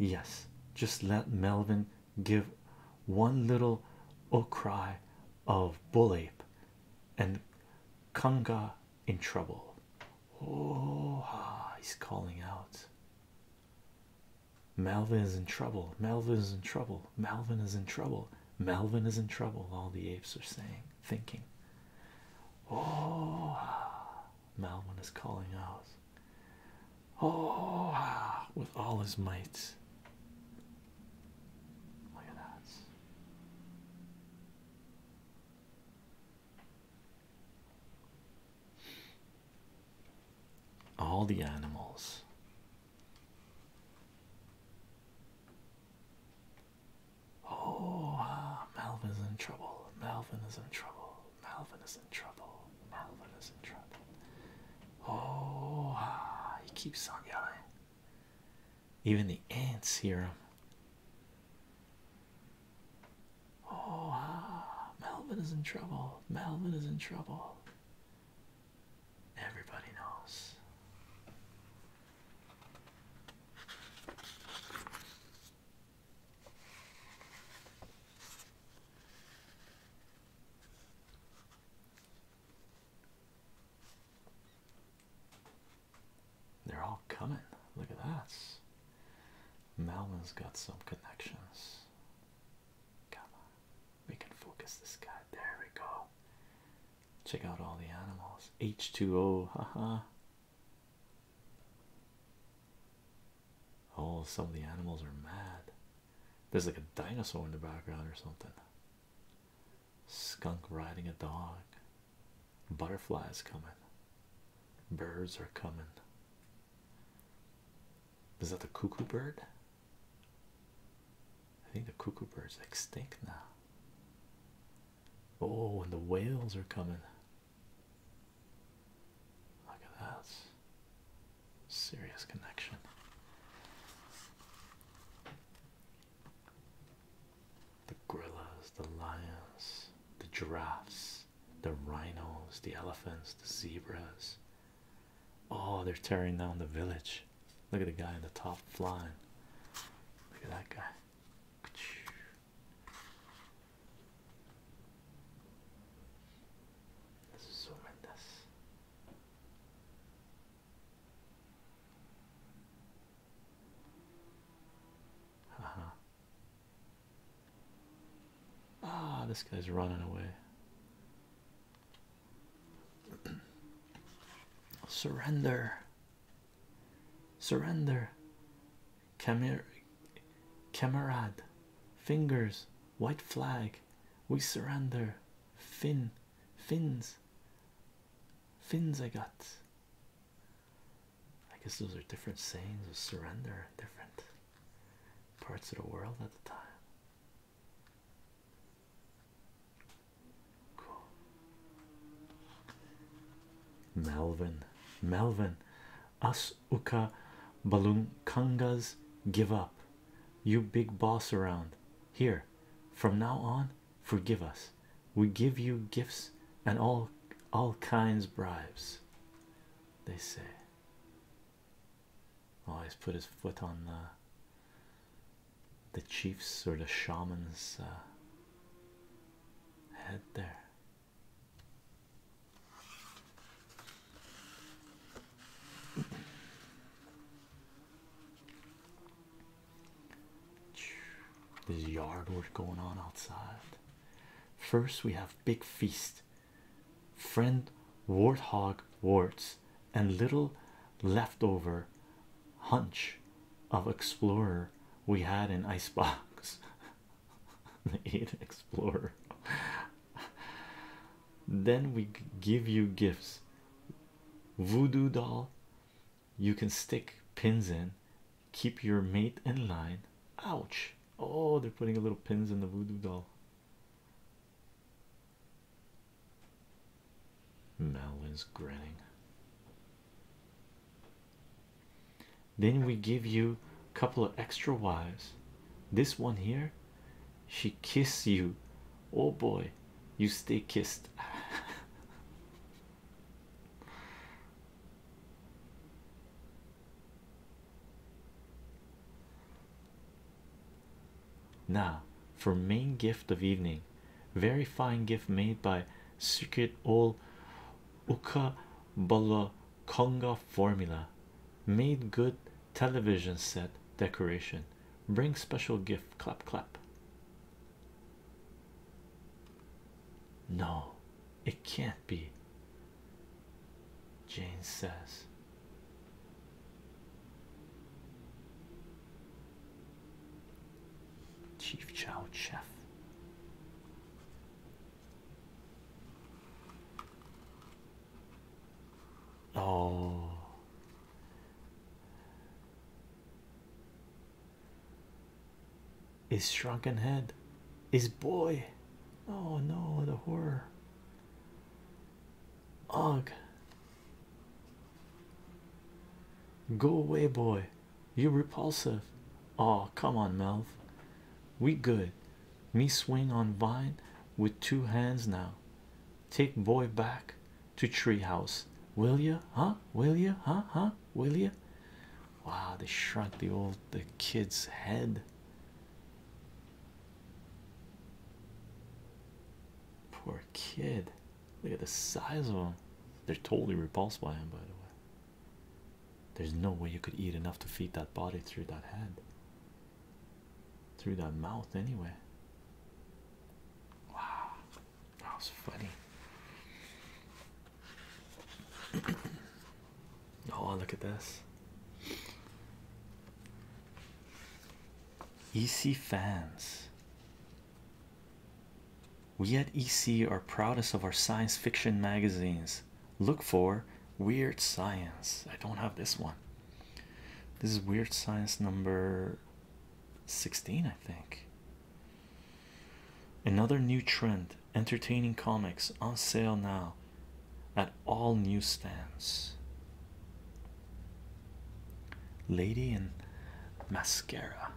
Yes, just let Melvin give one little outcry. Oh of bull ape and Kunga in trouble. Oh, he's calling out. Malvin is in trouble. Malvin is in trouble. Malvin is in trouble. Malvin is in trouble. All the apes are saying, thinking. Oh, Malvin is calling out. Oh, with all his might. Look at that. All the animals. Oh, ah, is in trouble. Malvin is in trouble. Malvin is in trouble. Malvin is in trouble. Oh, ah, he keeps on yelling. Even the ants hear him. Oh, ah, Melvin is in trouble. Melvin is in trouble. Everybody knows. They're all coming. Look at that. Malvin's got some connections. Come on. We can focus this guy. There we go. Check out all the animals. H2O. Haha. Oh, some of the animals are mad. There's like a dinosaur in the background or something skunk riding a dog. Butterflies coming, birds are coming. Is that the cuckoo bird? I think the cuckoo bird's extinct now. Oh, and the whales are coming. Look at that. Serious connection the gorillas, the lions, the giraffes, the rhinos, the elephants, the zebras. Oh, they're tearing down the village. Look at the guy in the top flying. Look at that guy. Let's zoom in uh-huh. Ah, this guy's running away. Surrender. Surrender. Camar camarade. Fingers. White flag. We surrender. Fin. Fins fins I got. I guess those are different sayings of surrender different parts of the world at the time. Cool. Melvin, Melvin, us Uka Balunkangas give up. You big boss around here from now on forgive us we give you gifts and all all kinds bribes they say always put his foot on the uh, the chief's or the shaman's uh, head there there's yard work going on outside. First, we have Big Feast, Friend Warthog Warts, and Little Leftover Hunch of Explorer we had in Icebox. the eight Explorer. then we give you gifts. Voodoo doll you can stick pins in, keep your mate in line. Ouch! Oh, they're putting little pins in the voodoo doll. is grinning. Then we give you a couple of extra wives. This one here, she kiss you Oh boy, you stay kissed. now, for main gift of evening, very fine gift made by Secret Old Uka Bala Conga formula made good television set decoration. Bring special gift clap clap. No, it can't be, Jane says. Chief Chow Chef. Oh, his shrunken head, his boy. Oh no, the horror. Ugh. Go away, boy. you repulsive. Oh, come on, Melv. We good. Me swing on vine with two hands now. Take boy back to treehouse will you huh will you huh huh will you wow they shrunk the old the kid's head poor kid look at the size of him. they're totally repulsed by him by the way there's no way you could eat enough to feed that body through that head through that mouth anyway wow that was funny. oh, look at this. EC fans. We at EC are proudest of our science fiction magazines. Look for Weird Science. I don't have this one. This is Weird Science number 16, I think. Another new trend entertaining comics on sale now at all newsstands. Lady in mascara.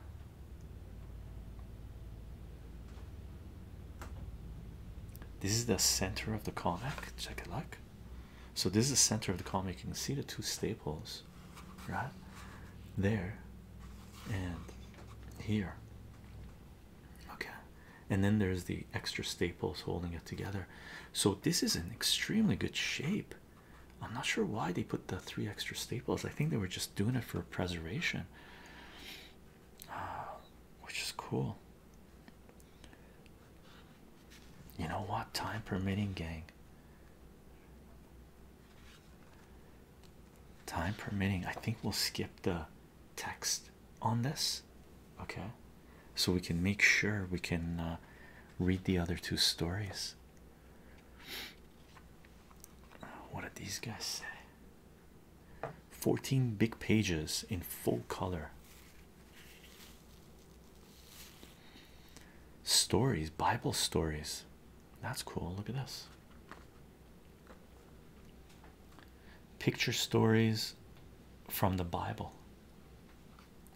This is the center of the comic. Check it out. So, this is the center of the comic. You can see the two staples right there and here okay and then there's the extra staples holding it together so this is in extremely good shape i'm not sure why they put the three extra staples i think they were just doing it for preservation ah, which is cool you know what time permitting gang Time permitting, I think we'll skip the text on this, okay? So we can make sure we can uh, read the other two stories. What did these guys say? 14 big pages in full color. Stories, Bible stories. That's cool. Look at this. Picture stories from the Bible.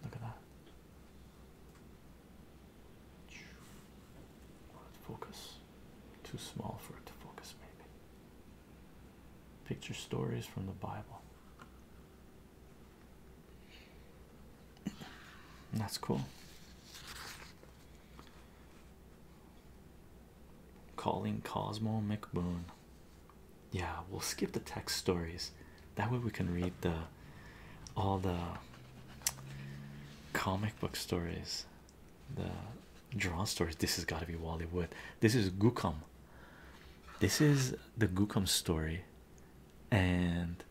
Look at that. Focus. Too small for it to focus, maybe. Picture stories from the Bible. That's cool. Calling Cosmo McBoon. Yeah, we'll skip the text stories. That way we can read the all the comic book stories, the draw stories. This has got to be Wally Wood. This is Gookum. This is the Gookum story and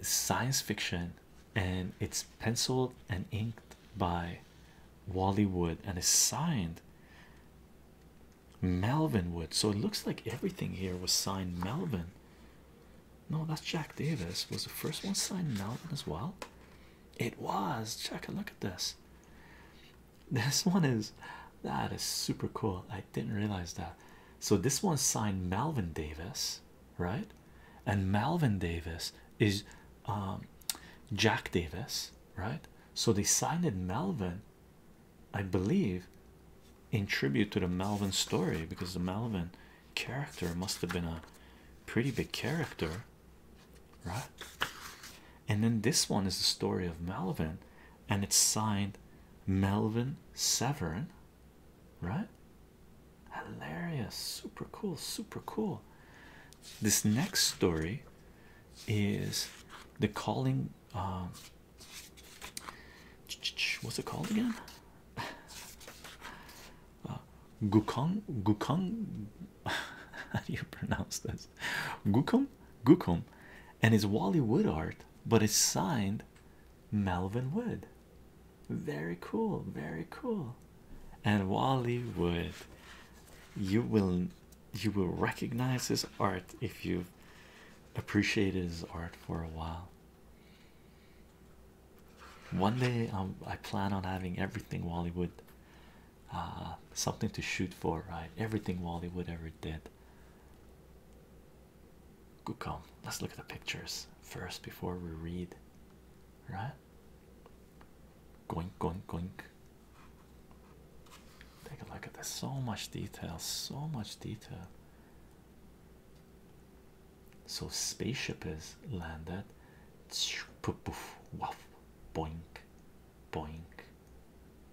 science fiction and it's penciled and inked by Wally Wood and it's signed Melvin Wood. So it looks like everything here was signed Melvin. No, that's Jack Davis. Was the first one signed Melvin as well? It was. Check a look at this. This one is that is super cool. I didn't realize that. So this one signed Malvin Davis, right? And Malvin Davis is um, Jack Davis, right? So they signed it Malvin, I believe, in tribute to the Malvin story because the Malvin character must have been a pretty big character, right? And then this one is the story of Malvin, and it's signed Melvin Severin, right? Hilarious, super cool, super cool. This next story is the calling. Uh, what's it called again? Uh, Gukong, how do you pronounce this? Gukum, Gukum, and it's Wally Wood art, but it's signed Melvin Wood. Very cool, very cool. And Wally Wood, you will you will recognize his art if you've appreciated his art for a while. One day um, I plan on having everything Wally Wood, uh, something to shoot for, right? Everything Wally Wood ever did. Kukum. Let's look at the pictures first before we read. Right? Goink, goink, goink. Take a look at this. So much detail. So much detail. So spaceship is landed. Poof, poof, boink, boink,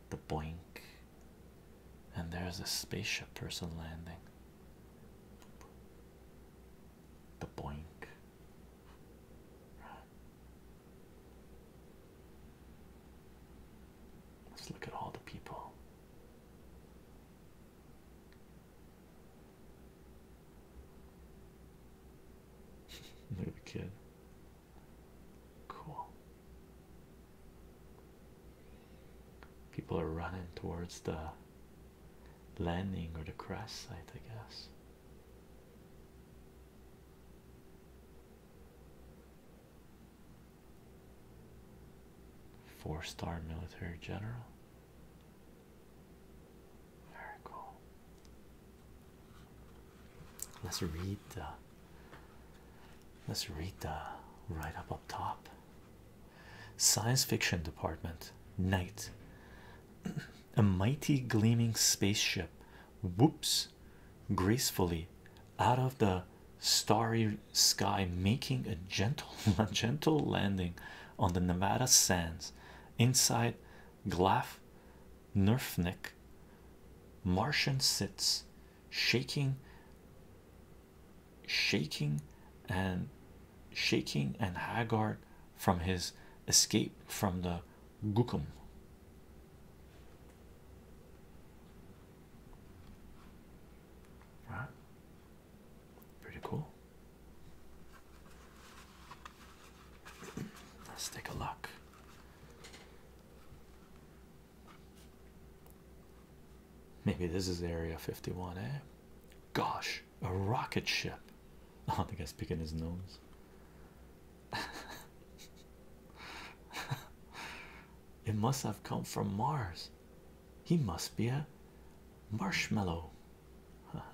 the boink, and there's a spaceship person landing the blank. let's look at all the people look at the kid cool people are running towards the landing or the crash site, I guess. Four star military general. Very cool. Let's read the let's read the right up up top Science fiction department. Night. A mighty gleaming spaceship whoops gracefully out of the starry sky, making a gentle, a gentle landing on the Nevada sands inside Glaf Nerfnik. Martian sits shaking shaking and shaking and haggard from his escape from the gukum. Right? Pretty cool. Let's take a look. Maybe this is Area 51, eh? Gosh, a rocket ship. I think i guy's picking his nose. it must have come from Mars. He must be a marshmallow.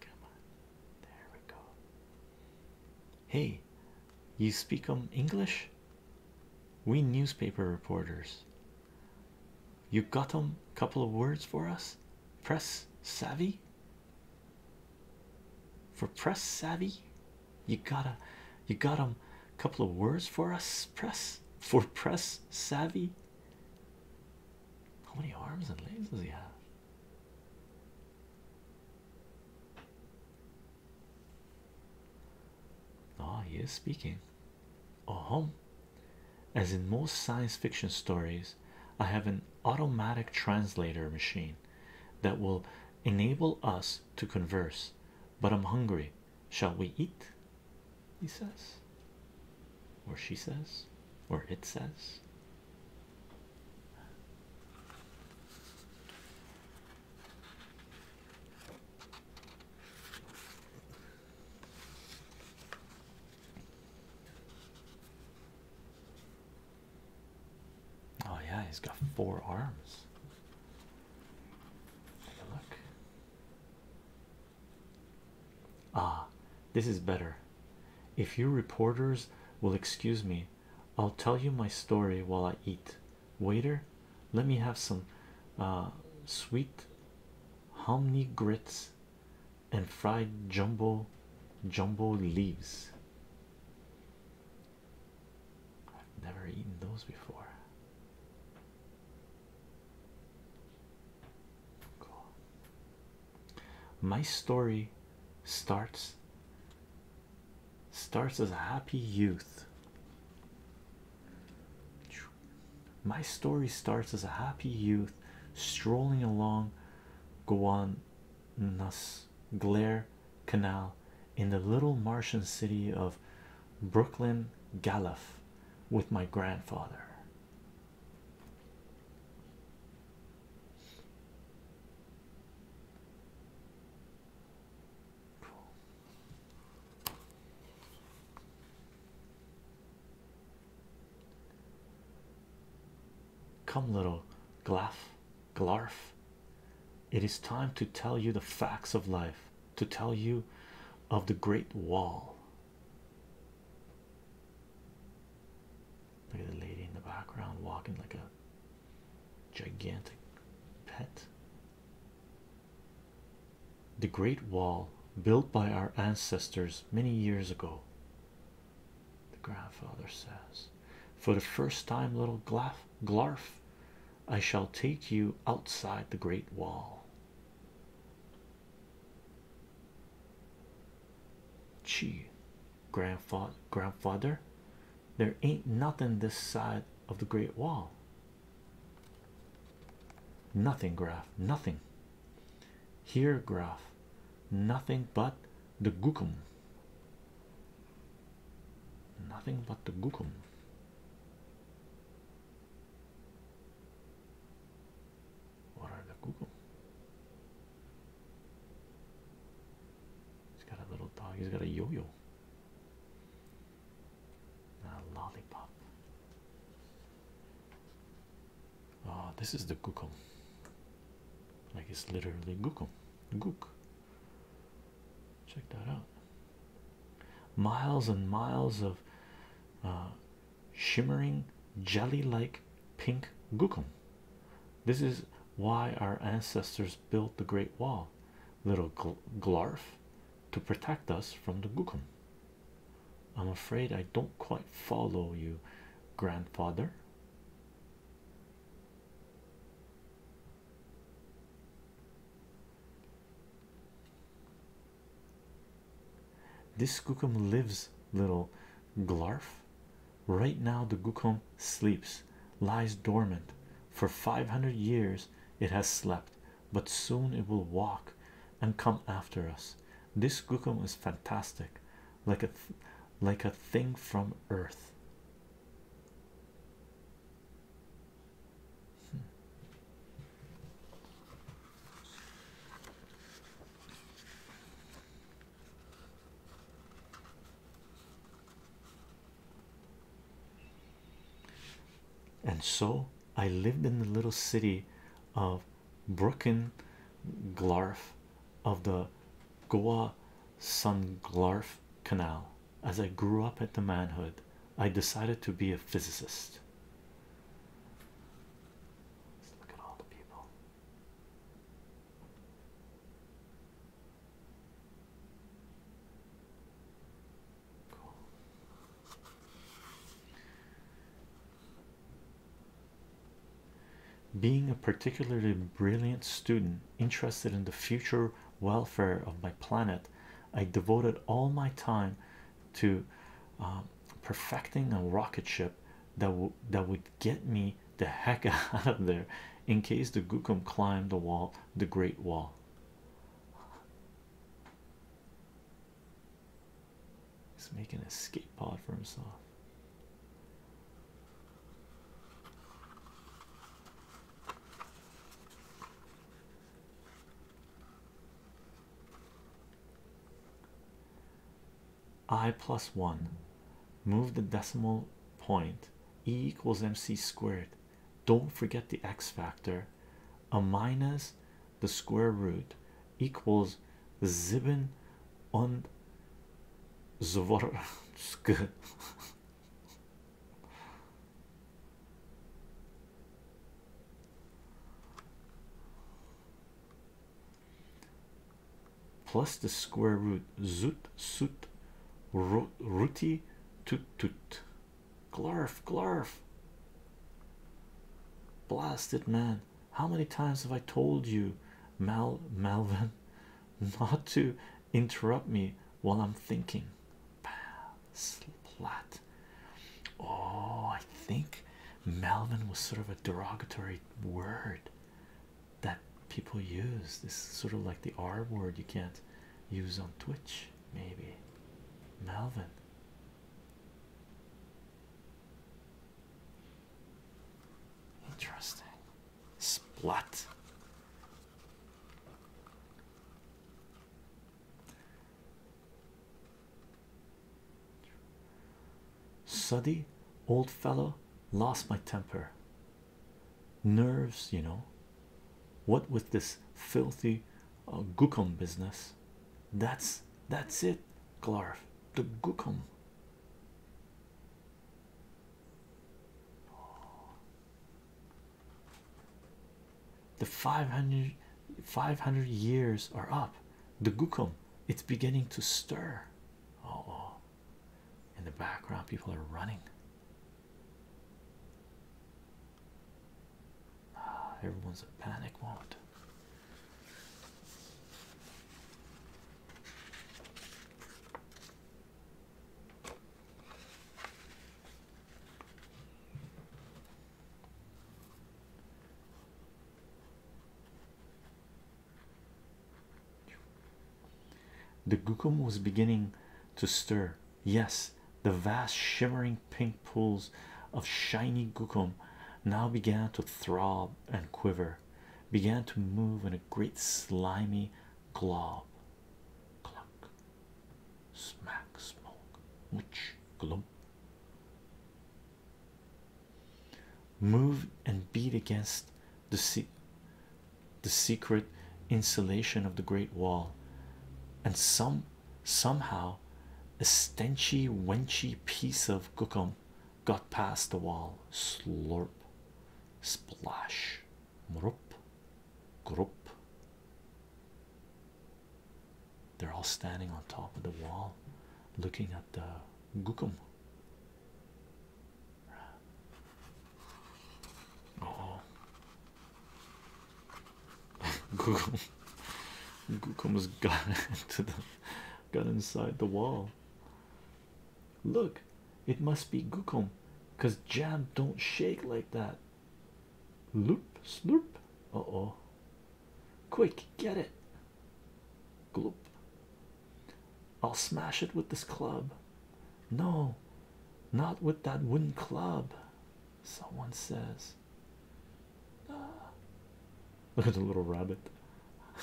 Come on, there we go. Hey, you speak um English? We newspaper reporters. You got them a couple of words for us? Press savvy? For press savvy? You gotta you got them a couple of words for us press for press savvy how many arms and legs does he have Ah, he is speaking oh as in most science fiction stories i have an automatic translator machine that will enable us to converse but i'm hungry shall we eat he says, or she says, or it says. Oh, yeah, he's got four arms. Take a look. Ah, this is better. If you reporters will excuse me, I'll tell you my story while I eat. Waiter, let me have some uh, sweet hominy grits and fried jumbo jumbo leaves. I've never eaten those before. My story starts starts as a happy youth. My story starts as a happy youth strolling along Guan Nas Glare Canal in the little Martian city of Brooklyn Galef with my grandfather. Come, little Glaf, Glarf. It is time to tell you the facts of life to tell you of the Great Wall. Look at the lady in the background walking like a gigantic pet. The Great Wall, built by our ancestors many years ago, the grandfather says. For the first time, little Glarf, I shall take you outside the Great Wall. Gee, grandfather, grandfather, there ain't nothing this side of the Great Wall. Nothing, Graf, nothing. Here, Graf, nothing but the Gookum. Nothing but the Gookum. What are the Google? He's got a little dog. He's got a yo-yo. A lollipop. Oh, this is the Google. Like it's literally Google. Gook. Check that out miles and miles of uh, shimmering jelly like pink gookum. This is why our ancestors built the Great Wall, little gl Glarf, to protect us from the gookum. I'm afraid I don't quite follow you, grandfather. This Skookum lives, little Glarf. Right now, the Gookum sleeps, lies dormant. For 500 years, it has slept, but soon it will walk and come after us. This Gookum is fantastic, like a, like a thing from Earth. And so I lived in the little city of Brocken Glarf of the Goa Sun Glarf Canal. As I grew up into manhood, I decided to be a physicist. Being a particularly brilliant student interested in the future welfare of my planet, I devoted all my time to um, perfecting a rocket ship that w that would get me the heck out of there in case the Gookum climbed the wall, the Great Wall. He's making an escape pod for himself i plus 1 move the decimal point e equals mc squared don't forget the x factor a minus the square root equals zibin on Zvorsk plus the square root Zut zut, root rooty toot toot glarf glarf blasted man how many times have i told you mal malvin not to interrupt me while i'm thinking Splat. Oh, I think Melvin was sort of a derogatory word that people use. It's sort of like the R word you can't use on Twitch, maybe. Melvin. Interesting. Splat. Suddy, old fellow, lost my temper. Nerves, you know. What with this filthy uh, business? That's that's it, Glarf. The gookum. The 500 500 years are up. The Gukum, it's beginning to stir. oh, oh. in the background, people are running. Ah, everyone's a panic mode. The Gukum was beginning to stir. Yes, the vast shimmering pink pools of shiny Gukum now began to throb and quiver, began to move in a great slimy glob. smack, smoke, which glum move and beat against the the secret insulation of the great wall and some somehow a stenchy wenchy piece of gookum got past the wall slurp splash group group they're all standing on top of the wall looking at the Gookum. Oh, uh-huh. Gookum, Gookum has got into the got inside the wall. Look, it must be Gookum because jam don't shake like that. Loop, sloop. Uh oh, Quick, get it. Gloop. I'll smash it with this club. No, not with that wooden club. Someone says. look at the little rabbit.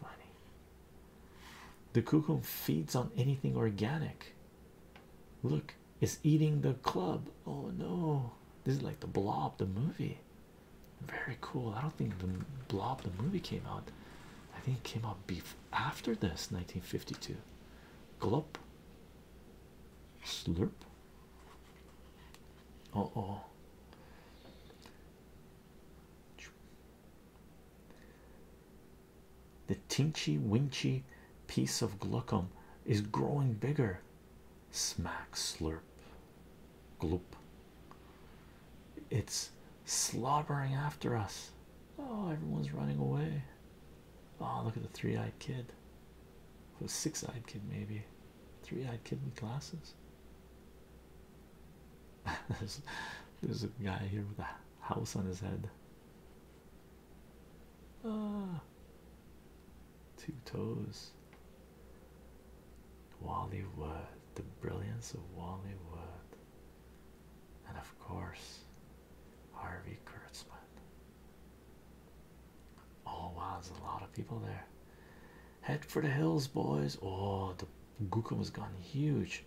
Funny. The cuckoo feeds on anything organic. Look, it's eating the club. Oh no, this is like the blob, the movie. Very cool. I don't think the blob, the movie came out. I think it came out beef after this 1952. Glop, slurp. Oh oh. The Tinchy Winchy piece of glucum is growing bigger. Smack slurp gloop. It's slobbering after us. Oh, everyone's running away. Oh, look at the three eyed kid. It six eyed kid, maybe. Three eyed kid with glasses. there's a guy here with a house on his head. Ah, two toes. Wally Wood, the brilliance of Wally Wood, and of course, Harvey Kurtzman. Oh wow, there's a lot of people there. Head for the hills, boys. Oh, the Gookum has gotten huge.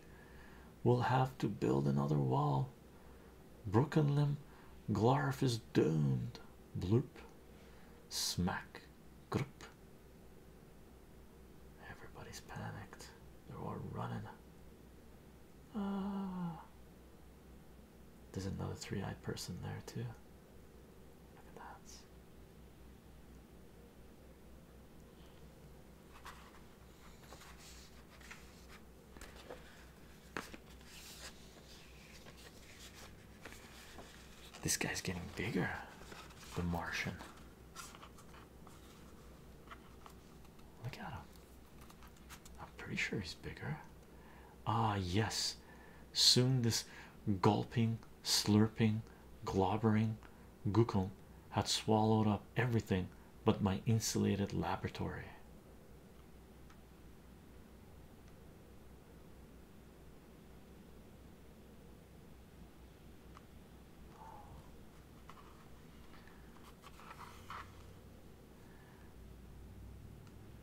We'll have to build another wall. Broken limb, Glarf is doomed. Bloop. Smack. Group. Everybody's panicked. They're all running. Ah. There's another three-eyed person there too. Look at that. This guy's getting bigger, the Martian. Look at him. I'm pretty sure he's bigger. Ah, yes. Soon this gulping, slurping, globbering Google had swallowed up everything but my insulated laboratory.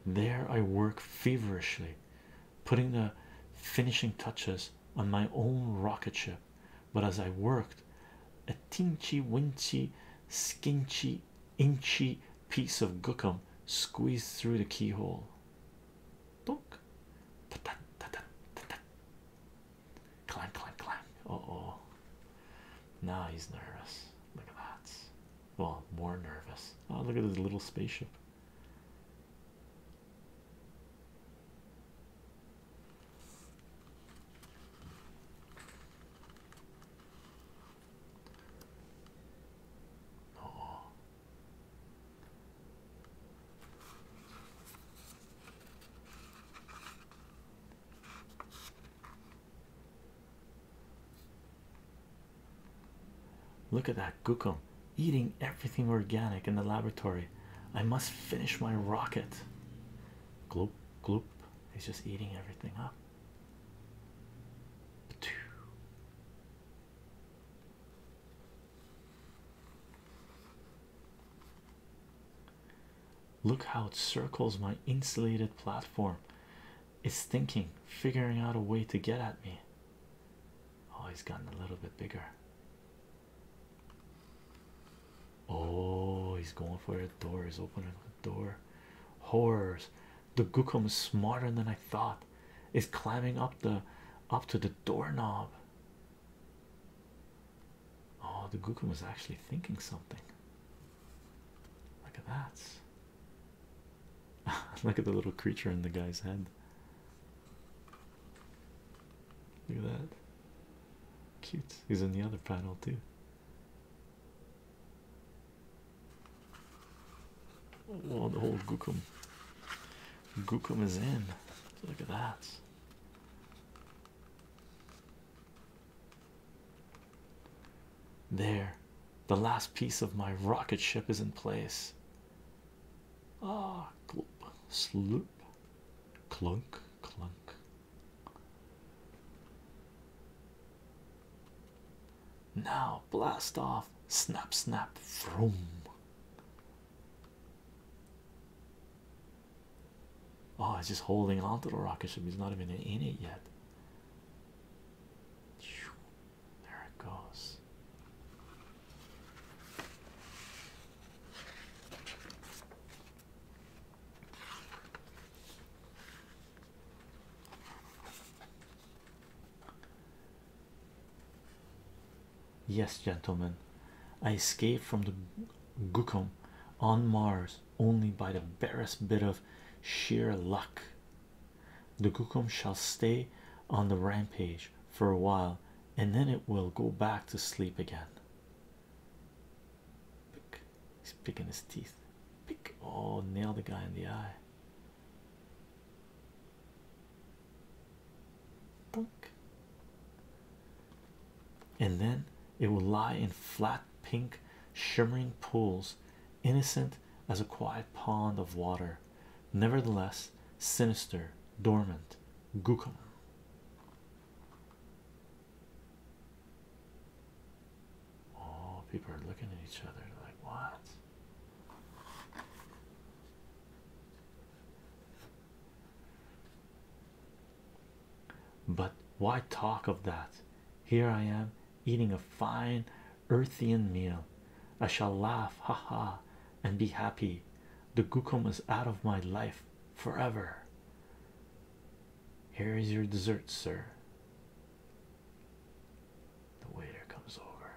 There, I work feverishly, putting the finishing touches on my own rocket ship. But as I worked, a tinchy, winchy, skinchy inchy piece of gookum squeezed through the keyhole. Clank, clank, clank. Uh oh. Now he's nervous. Look at that. Well, more nervous. Oh, look at this little spaceship. Look at that Gookum eating everything organic in the laboratory. I must finish my rocket. Gloop, gloop. He's just eating everything up. Look how it circles my insulated platform. It's thinking, figuring out a way to get at me. Oh, he's gotten a little bit bigger. Oh, he's going for it. Door is open door horrors the gookum is smarter than i thought is climbing up the up to the doorknob oh the gookum was actually thinking something look at that look at the little creature in the guy's head look at that cute he's in the other panel too Oh, the whole Gookum. Gookum is in. Look at that. There, the last piece of my rocket ship is in place. Ah, gloop, sloop, clunk, clunk. Now blast off, snap, snap, vroom. Oh, he's just holding on to the rocket ship, he's not even in it yet. There it goes. Yes, gentlemen, I escaped from the Gukum on Mars only by the barest bit of sheer luck. The Gukum shall stay on the rampage for a while and then it will go back to sleep again. Pick. He's picking his teeth. Pick. Oh, nail the guy in the eye. And then it will lie in flat, pink, shimmering pools, innocent as a quiet pond of water, nevertheless sinister, dormant. Gookum. Oh, people are looking at each other like, what? But why talk of that? Here I am eating a fine earthian meal. I shall laugh, ha ha, and be happy. The gukum is out of my life forever. Here is your dessert, sir. The waiter comes over.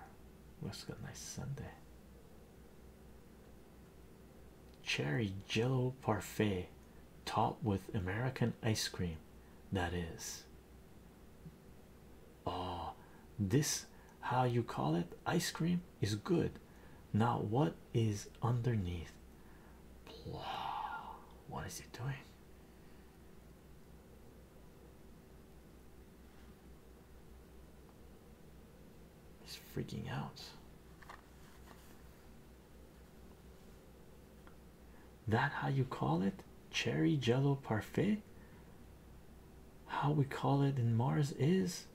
Looks like a nice Sunday. Cherry Jello parfait, topped with American ice cream. That is. Ah, this how you call it? Ice cream is good. Now what is underneath? What is it doing? He's freaking out. That how you call it? Cherry jello parfait? How we call it in Mars is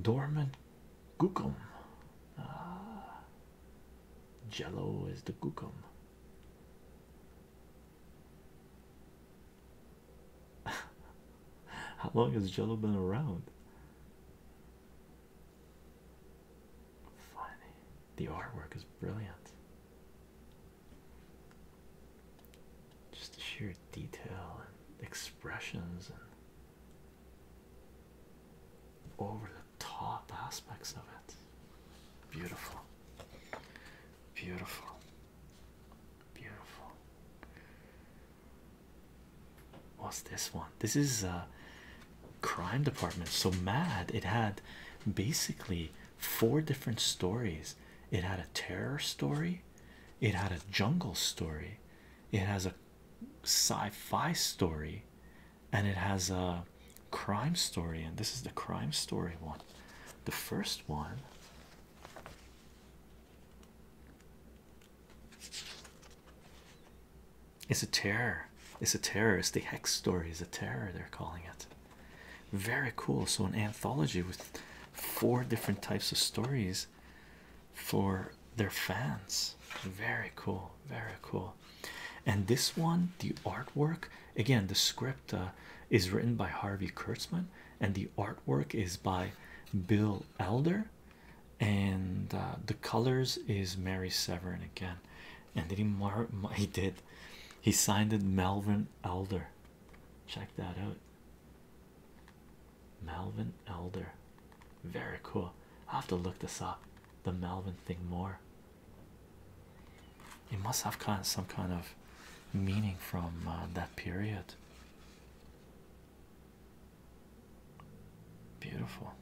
dormant gookum. Ah, jello is the gookum. How long has Jello been around? Funny. The artwork is brilliant. Just the sheer detail and expressions and over the top aspects of it. Beautiful. Beautiful. Beautiful. What's this one? This is a uh, crime department. So mad. It had basically four different stories. It had a terror story. It had a jungle story. It has a sci-fi story and it has a uh, crime story, and this is the crime story one. The first one it's a terror, it's a terrorist. the hex story, is a terror, they're calling it. Very cool. So, an anthology with four different types of stories for their fans. Very cool, very cool. And this one, the artwork Again, the script uh, is written by Harvey Kurtzman, and the artwork is by Bill Elder, and uh, the colors is Mary Severin again. And did he mark? He did. He signed it Melvin Elder. Check that out. Melvin Elder. Very cool. I have to look this up. The Melvin thing more. It must have kind some kind of meaning from uh, that period. Beautiful,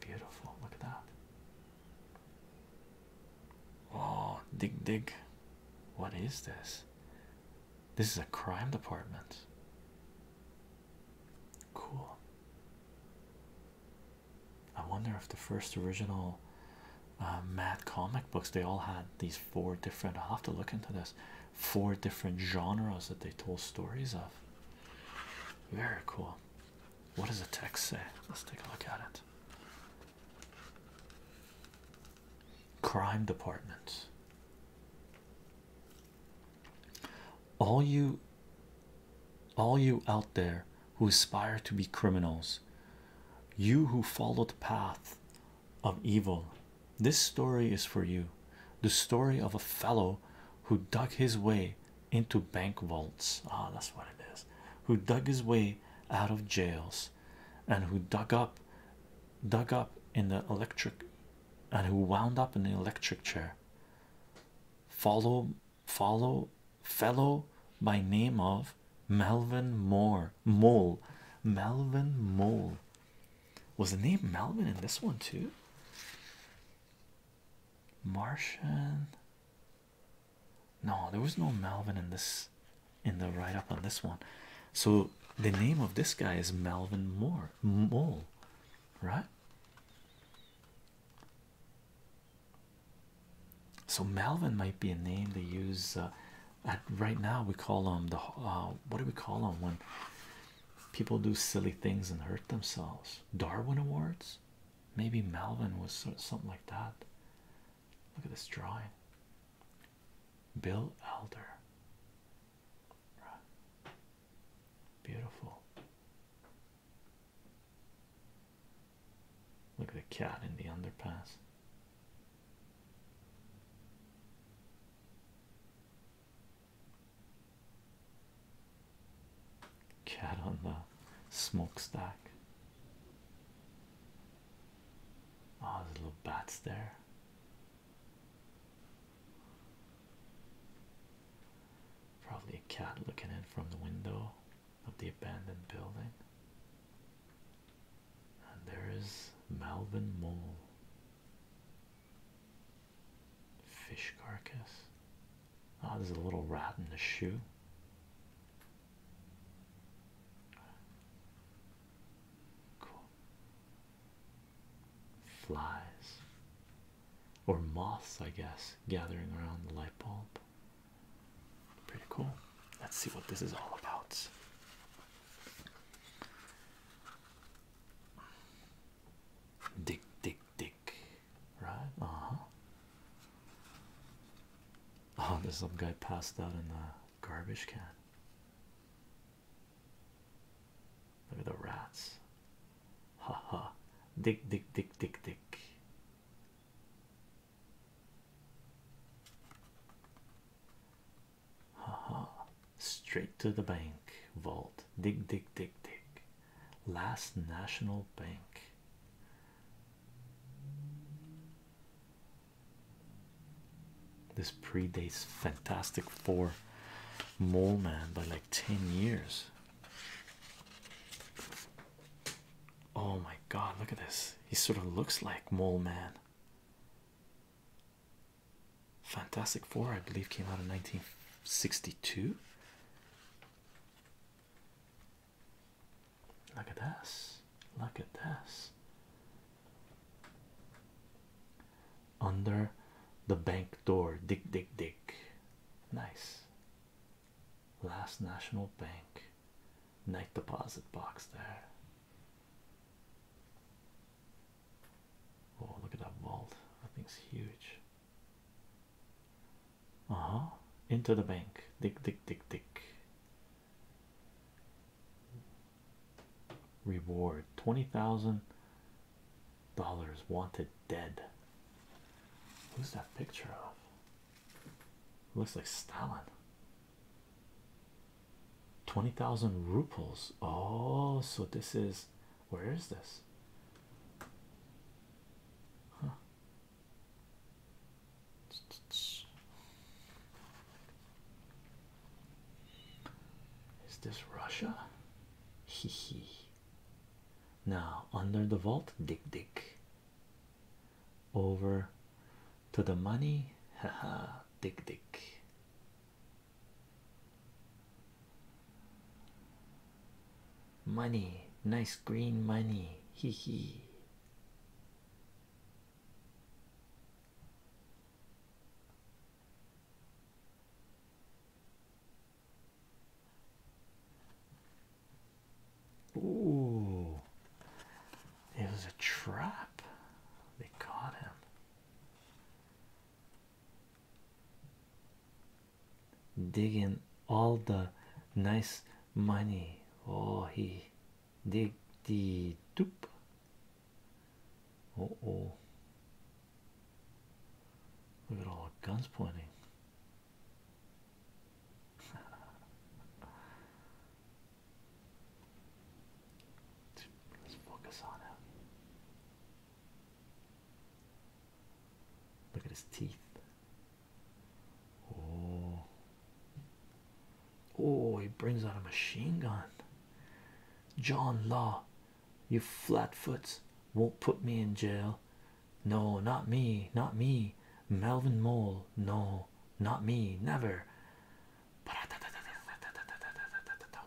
beautiful. Look at that. Oh, dig, dig. What is this? This is a crime department. Cool. I wonder if the first original uh, Mad comic books they all had these four different. i have to look into this. Four different genres that they told stories of. Very cool. What does the text say? Let's take a look at it. Crime departments. All you all you out there who aspire to be criminals, you who follow the path of evil, this story is for you. The story of a fellow who dug his way into bank vaults. Ah, that's what it is. Who dug his way out of jails and who dug up, dug up in the electric and who wound up in the electric chair. Follow, follow fellow by name of Melvin Moore Mole. Melvin Mole was the name Melvin in this one too. Martian. No, there was no Melvin in this in the write up on this one. So the name of this guy is Melvin Moore Mole, right? So Melvin might be a name they use uh, right now. We call them the uh, what do we call them when people do silly things and hurt themselves? Darwin Awards. Maybe Melvin was something like that. Look at this drawing. Bill Elder. Beautiful. Look at the cat in the underpass. Cat on the smokestack. Ah, oh, there's little bats there. Probably a cat looking in from the window of the abandoned building. And there is Malvin Mole. Fish carcass. Ah, there's a little rat in the shoe. Cool. Flies. Or moths, I guess, gathering around the light bulb. Pretty cool. Let's see what this is all about. Dig, dig, dig. Right? Uh huh. Oh, there's some guy passed out in the garbage can. Look at the rats. Ha ha. Dig, dig, dig, dig, dig. Haha, straight to the bank vault. Dig, dig, dig, dig. Last National Bank. This predates Fantastic Four Mole Man by like 10 years. Oh my god, look at this. He sort of looks like Mole Man. Fantastic Four, I believe, came out in 1962. Look at this. Look at this. Under the bank door, dig, dig, dig. Nice. Last National Bank night deposit box there. Oh, look at that vault! That thing's huge. Uh huh. Into the bank. Dick, dick, dick, dick. Reward twenty thousand dollars. Wanted dead. Who's that picture of? Looks like Stalin. 20,000 roubles. Oh, so this is where is this? Is this Russia? Hee hee. Now, under the vault, dick dick over to the money haha dick dick money nice green money hee hee Ooh, it was a trap. They caught him. Digging all the nice money. Oh, he dig the doop. Oh, oh, look at all the guns pointing. Let's focus on him. Look at his teeth. Oh, oh, he brings out a machine gun. John Law, you flatfoots won't put me in jail. No, not me, not me. Melvin Mole, no, not me, never.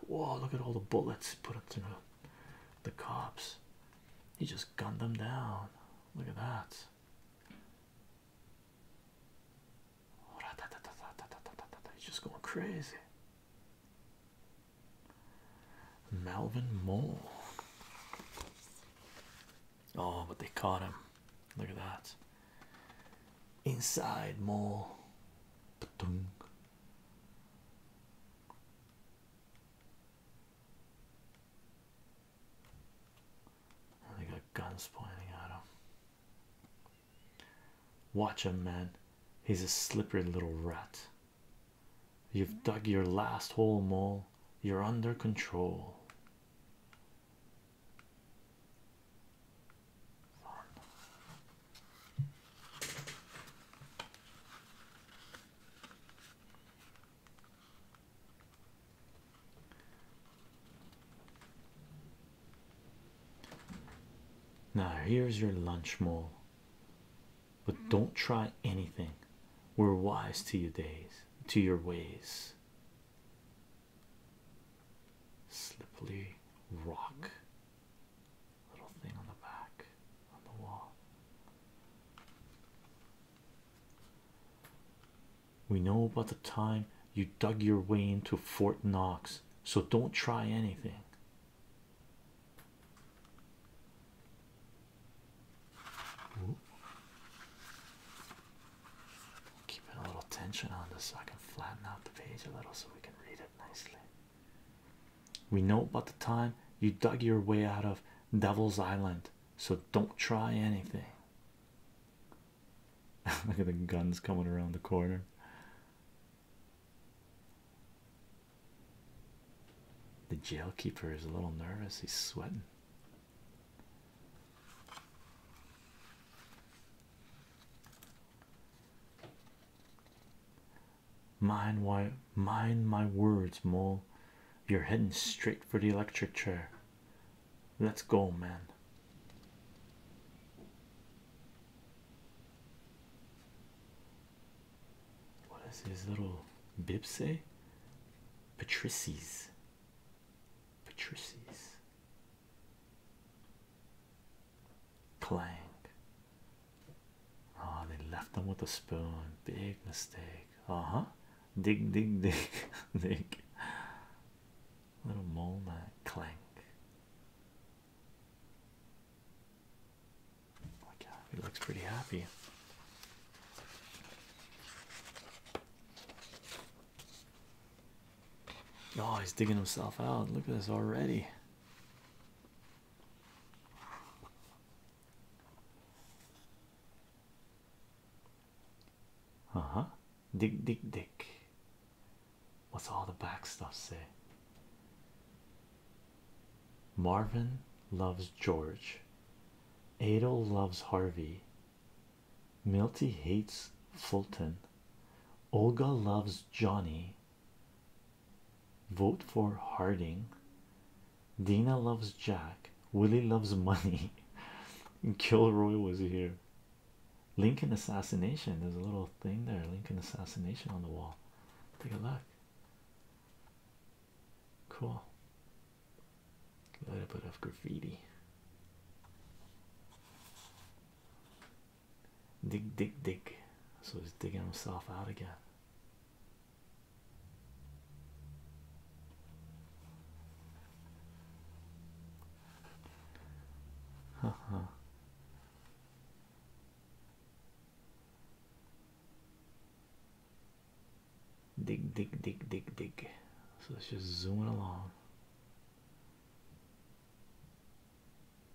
Whoa, look at all the bullets put up to the cops. He just gunned them down. Look at that. He's just going crazy. Melvin Moore. Oh, but they caught him. Look at that. Inside mole. They got guns pointing at him. Watch him, man. He's a slippery little rat. You've dug your last hole, mole. You're under control. Now, here's your lunch mole, but don't try anything. We're wise to your days, to your ways. Slippery rock. Little thing on the back on the wall. We know about the time you dug your way into Fort Knox, so don't try anything. Keeping a little tension on this so I can flatten out the page a little so we can read it nicely. We know about the time you dug your way out of Devil's Island, so don't try anything. Look at the guns coming around the corner. The jailkeeper is a little nervous, he's sweating. Mind why mind my words, mole. You're heading straight for the electric chair. Let's go, man. What does his little bib say? Patrices. Patrices. Clank. Oh, they left them with a spoon. Big mistake. Uh huh. Dig, dig, dig, dig. Little mole man. Clank. Okay, oh he looks pretty happy. Oh, he's digging himself out. Look at this already. Uh huh. Dig, dig, dig. What's all the back stuff say? Marvin loves George. Adel loves Harvey. Milty hates Fulton. Olga loves Johnny. Vote for Harding. Dina loves Jack. Willie loves money. Kilroy was here. Lincoln assassination. There's a little thing there. Lincoln assassination on the wall. Take a look. Cool. A little bit of graffiti. Dig, dig, dig. So he's digging himself out again. Haha. Dig, dig, dig, dig, dig. So it's just zooming along.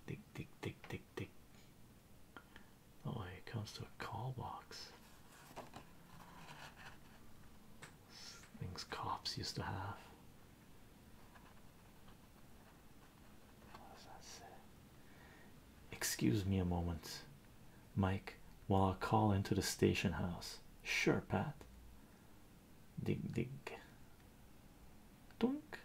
Tick, tick, tick, tick, tick. Oh, it comes to a call box. Things cops used to have. Excuse me a moment, Mike, while I call into the station house. Sure, Pat dig dig dunk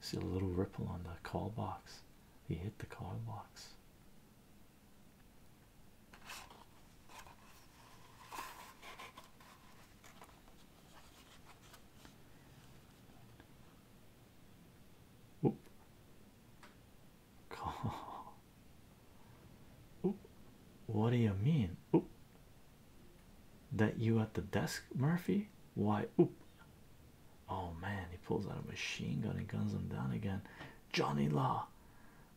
see a little ripple on the call box he hit the call box Oop. Oop. What do you mean? Oop. That you at the desk, Murphy? Why, oop. Oh man, he pulls out a machine gun and guns him down again. Johnny Law,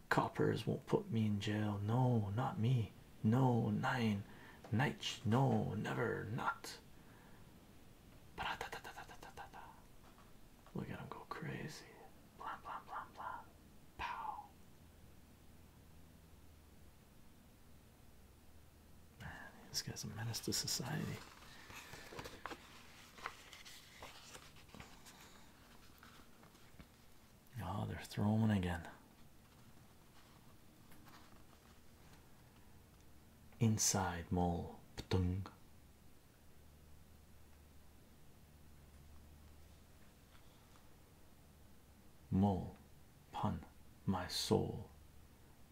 coppers won't put me in jail. No, not me. No, nine, night, no, never, not. Look at him go crazy. Blah blah blah blah. Pow. Man, this guy's a menace to society. Oh, they're throwing again. Inside mole. Ptung. Mole, pun, my soul,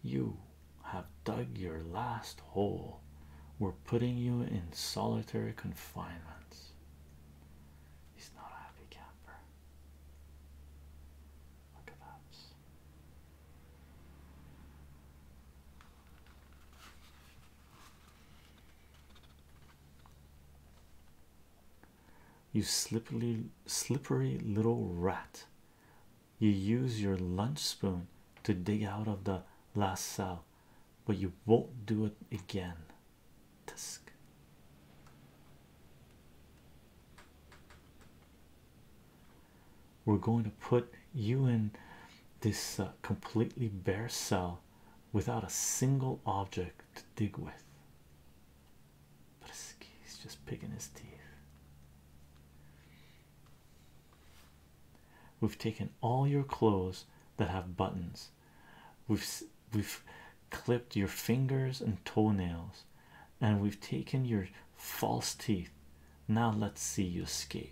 you have dug your last hole. We're putting you in solitary confinement. He's not a happy camper. Look at that you slippery slippery little rat you use your lunch spoon to dig out of the last cell but you won't do it again Tisk. we're going to put you in this uh, completely bare cell without a single object to dig with but he's just picking his teeth. We've taken all your clothes that have buttons. We've we've clipped your fingers and toenails, and we've taken your false teeth. Now let's see you escape.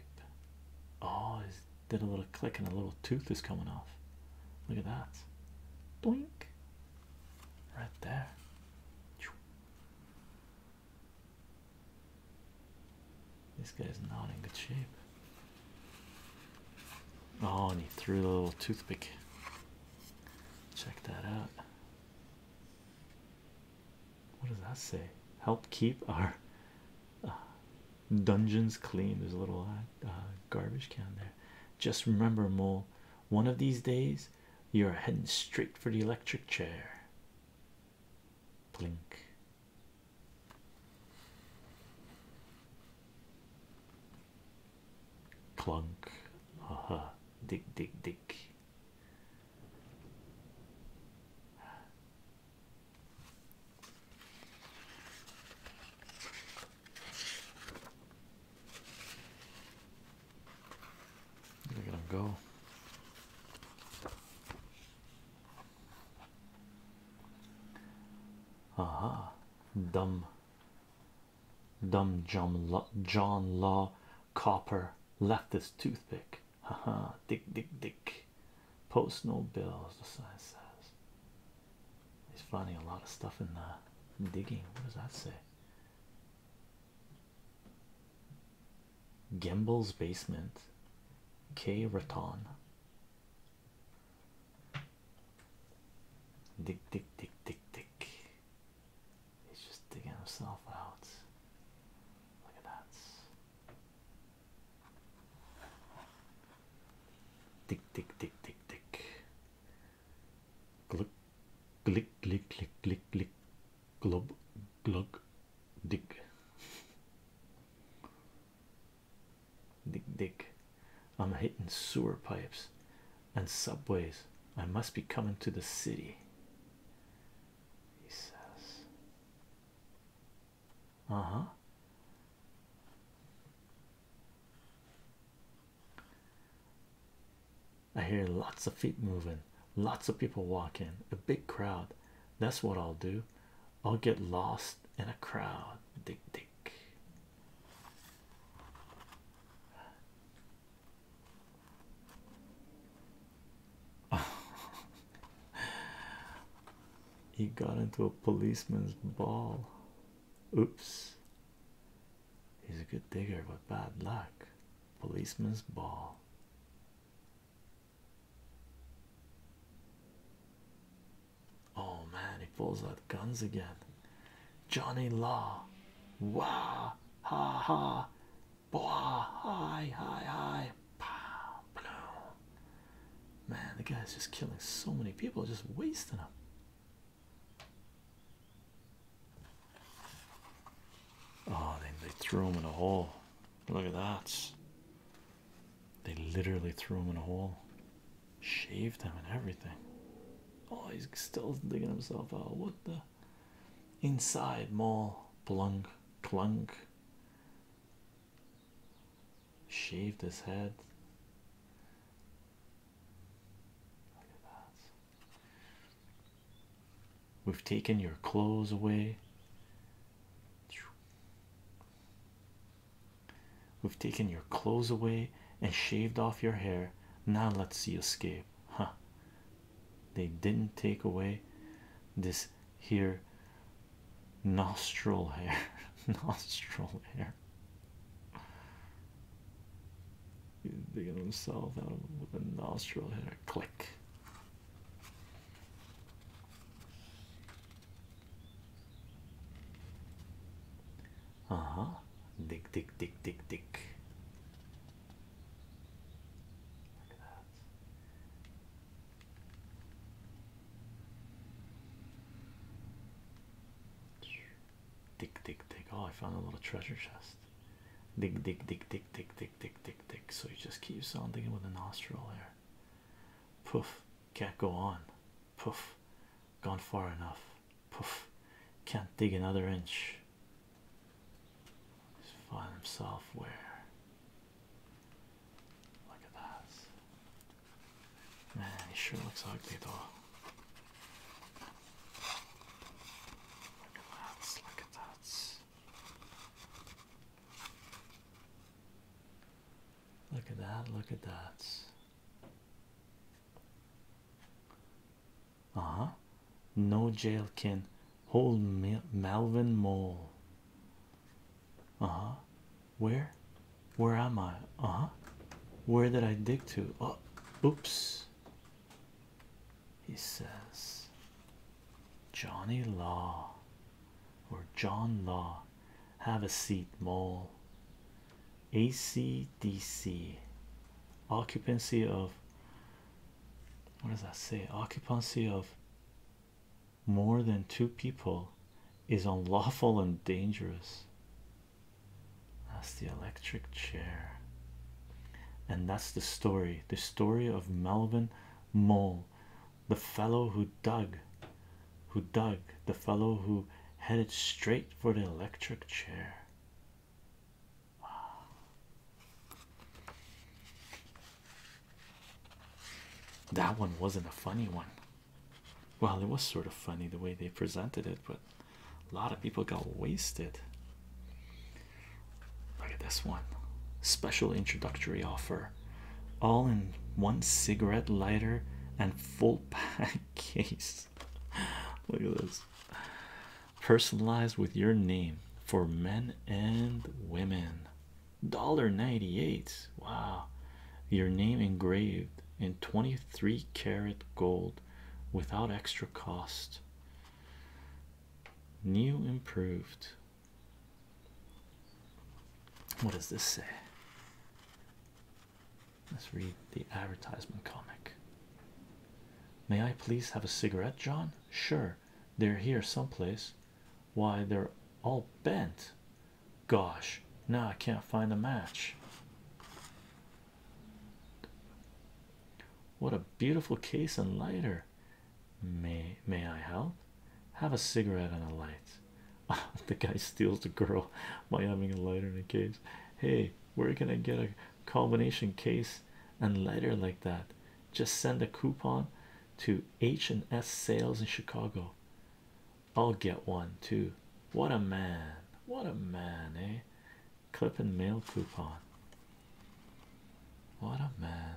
Oh, it did a little click and a little tooth is coming off. Look at that. Doink right there. This guy's not in good shape. Oh, and he threw a little toothpick. Check that out. What does that say? Help keep our uh, dungeons clean. There's a little uh, uh, garbage can there. Just remember, Mole, one of these days, you're heading straight for the electric chair. Plink. Clunk. Haha. Uh -huh. Dig, dig, Look gonna go. Aha, dumb, dumb John, Law Copper leftist toothpick. Aha, dick, dick, dick. Post no bills, the sign says. He's finding a lot of stuff in the digging. What does that say? Gimbel's basement, K. Raton. Dig, dig, dig, dig, dig. He's just digging himself out. Look at that. Dig, dig, dig, dig, dig. Click, click, click, click, click, click, glub, glug, dig, dig, dig. I'm hitting sewer pipes and subways. I must be coming to the city. Uh huh. I hear lots of feet moving, lots of people walking, a big crowd. That's what I'll do. I'll get lost in a crowd. Dick, dick. he got into a policeman's ball. Oops. He's a good digger, but bad luck. Policeman's ball. Oh man, he pulls out guns again. Johnny Law. Wah Ha ha. Boah. Hi hi hi. Pow. Blow. Man, the guy's just killing so many people, just wasting them. Oh, they, they threw him in a hole. Look at that. They literally threw him in a hole, shaved him, and everything. Oh, he's still digging himself out. What the inside mall plunk clunk shaved his head. We've taken your clothes away. We've taken your clothes away and shaved off your hair. Now let's see escape. Huh. They didn't take away this here nostril hair. nostril hair. He's digging himself out with a nostril here. Click. Uh huh. Dick, dick, dick, dick, dick. Dig, dig, dig. Oh, I found a little treasure chest. Dig, dig, dig, dig, dig, dig, dig, dig, So he just keeps on digging with the nostril there. Poof, can't go on. Poof, gone far enough. Poof, can't dig another inch. He's find himself where? Look at that. Man, he sure looks ugly though. Look at that, look at that. Look at that, look at that. Uh huh. No jail can hold me, Melvin Mole. Uh huh. Where? Where am I? Uh huh. Where did I dig to? Oh, oops he says johnny law or john law have a seat mole acdc occupancy of what does that say occupancy of more than two people is unlawful and dangerous that's the electric chair. And that's the story the story of Melvin Mole, the fellow who dug, who dug, the fellow who headed straight for the electric chair. Wow. That one wasn't a funny one. Well, it was sort of funny the way they presented it, but a lot of people got wasted. Look at this one special introductory offer all in one cigarette lighter and full pack case. Look at this personalized with your name for men and women. dollar ninety-eight. Wow. Your name engraved in 23 karat gold without extra cost. New improved. What does this say? Let's read the advertisement comic. May I please have a cigarette, John? Sure, they're here someplace. Why, they're all bent. Gosh, now I can't find a match. What a beautiful case and lighter. May may I help? Have a cigarette and a light. the guy steals the girl by having a lighter in a case. Hey, where can I get a combination case and lighter like that? Just send a coupon to H and S sales in Chicago. I'll get one too. What a man, what a man, eh? clip and mail coupon. What a man.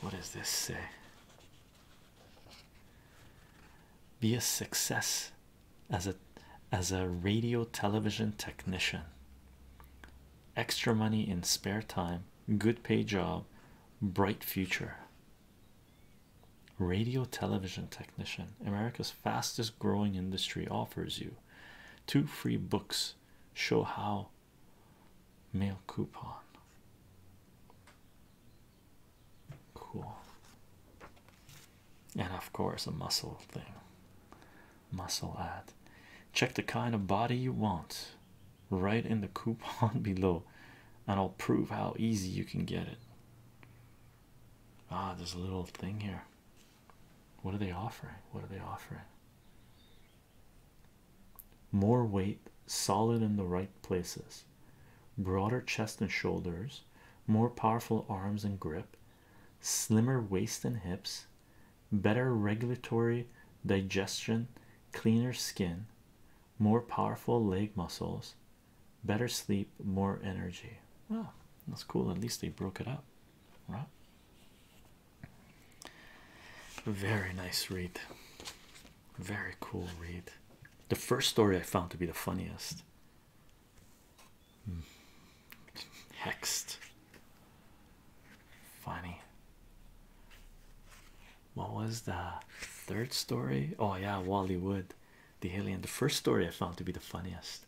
What does this say? Be a success as a as a radio television technician. Extra money in spare time, good pay job, bright future. Radio television technician technician, America's fastest growing industry, offers you two free books. Show how mail coupon. Cool. And of course, a muscle thing. Muscle ad. Check the kind of body you want right in the coupon below, and I'll prove how easy you can get it. Ah, there's a little thing here. What are they offering? What are they offering? More weight, solid in the right places, broader chest and shoulders, more powerful arms and grip, slimmer waist and hips, better regulatory digestion, cleaner skin, more powerful leg muscles, better sleep, more energy. That's cool. At least they broke it up, right? Very nice read. Very cool read. The first story I found to be the funniest. Hmm. Hexed. Funny. What was the third story? Oh yeah, Wally Wood, the alien. The first story I found to be the funniest.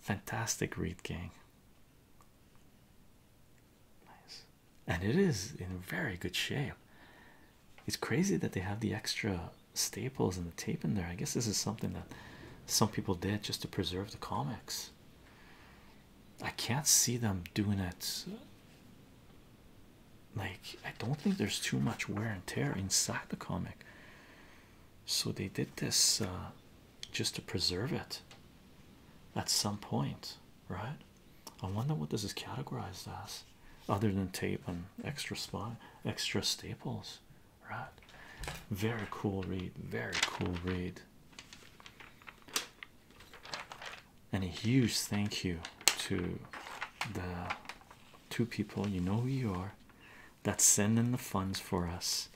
Fantastic read, gang. Nice. And it is in very good shape. It's crazy that they have the extra staples and the tape in there. I guess this is something that some people did just to preserve the comics. I can't see them doing it. Like, I don't think there's too much wear and tear inside the comic so they did this uh, just to preserve it at some point right i wonder what this is categorized as other than tape and extra spot extra staples right very cool read very cool read and a huge thank you to the two people you know who you are that's sending the funds for us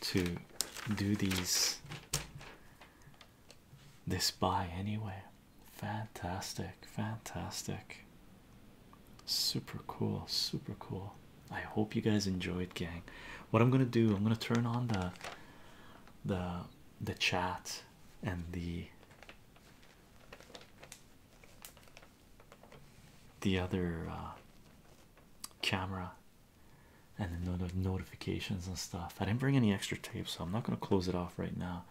to do these this buy anyway fantastic fantastic super cool super cool i hope you guys enjoyed gang what i'm gonna do i'm gonna turn on the the the chat and the the other uh, camera and the notifications and stuff. I didn't bring any extra tape, so I'm not going to close it off right now.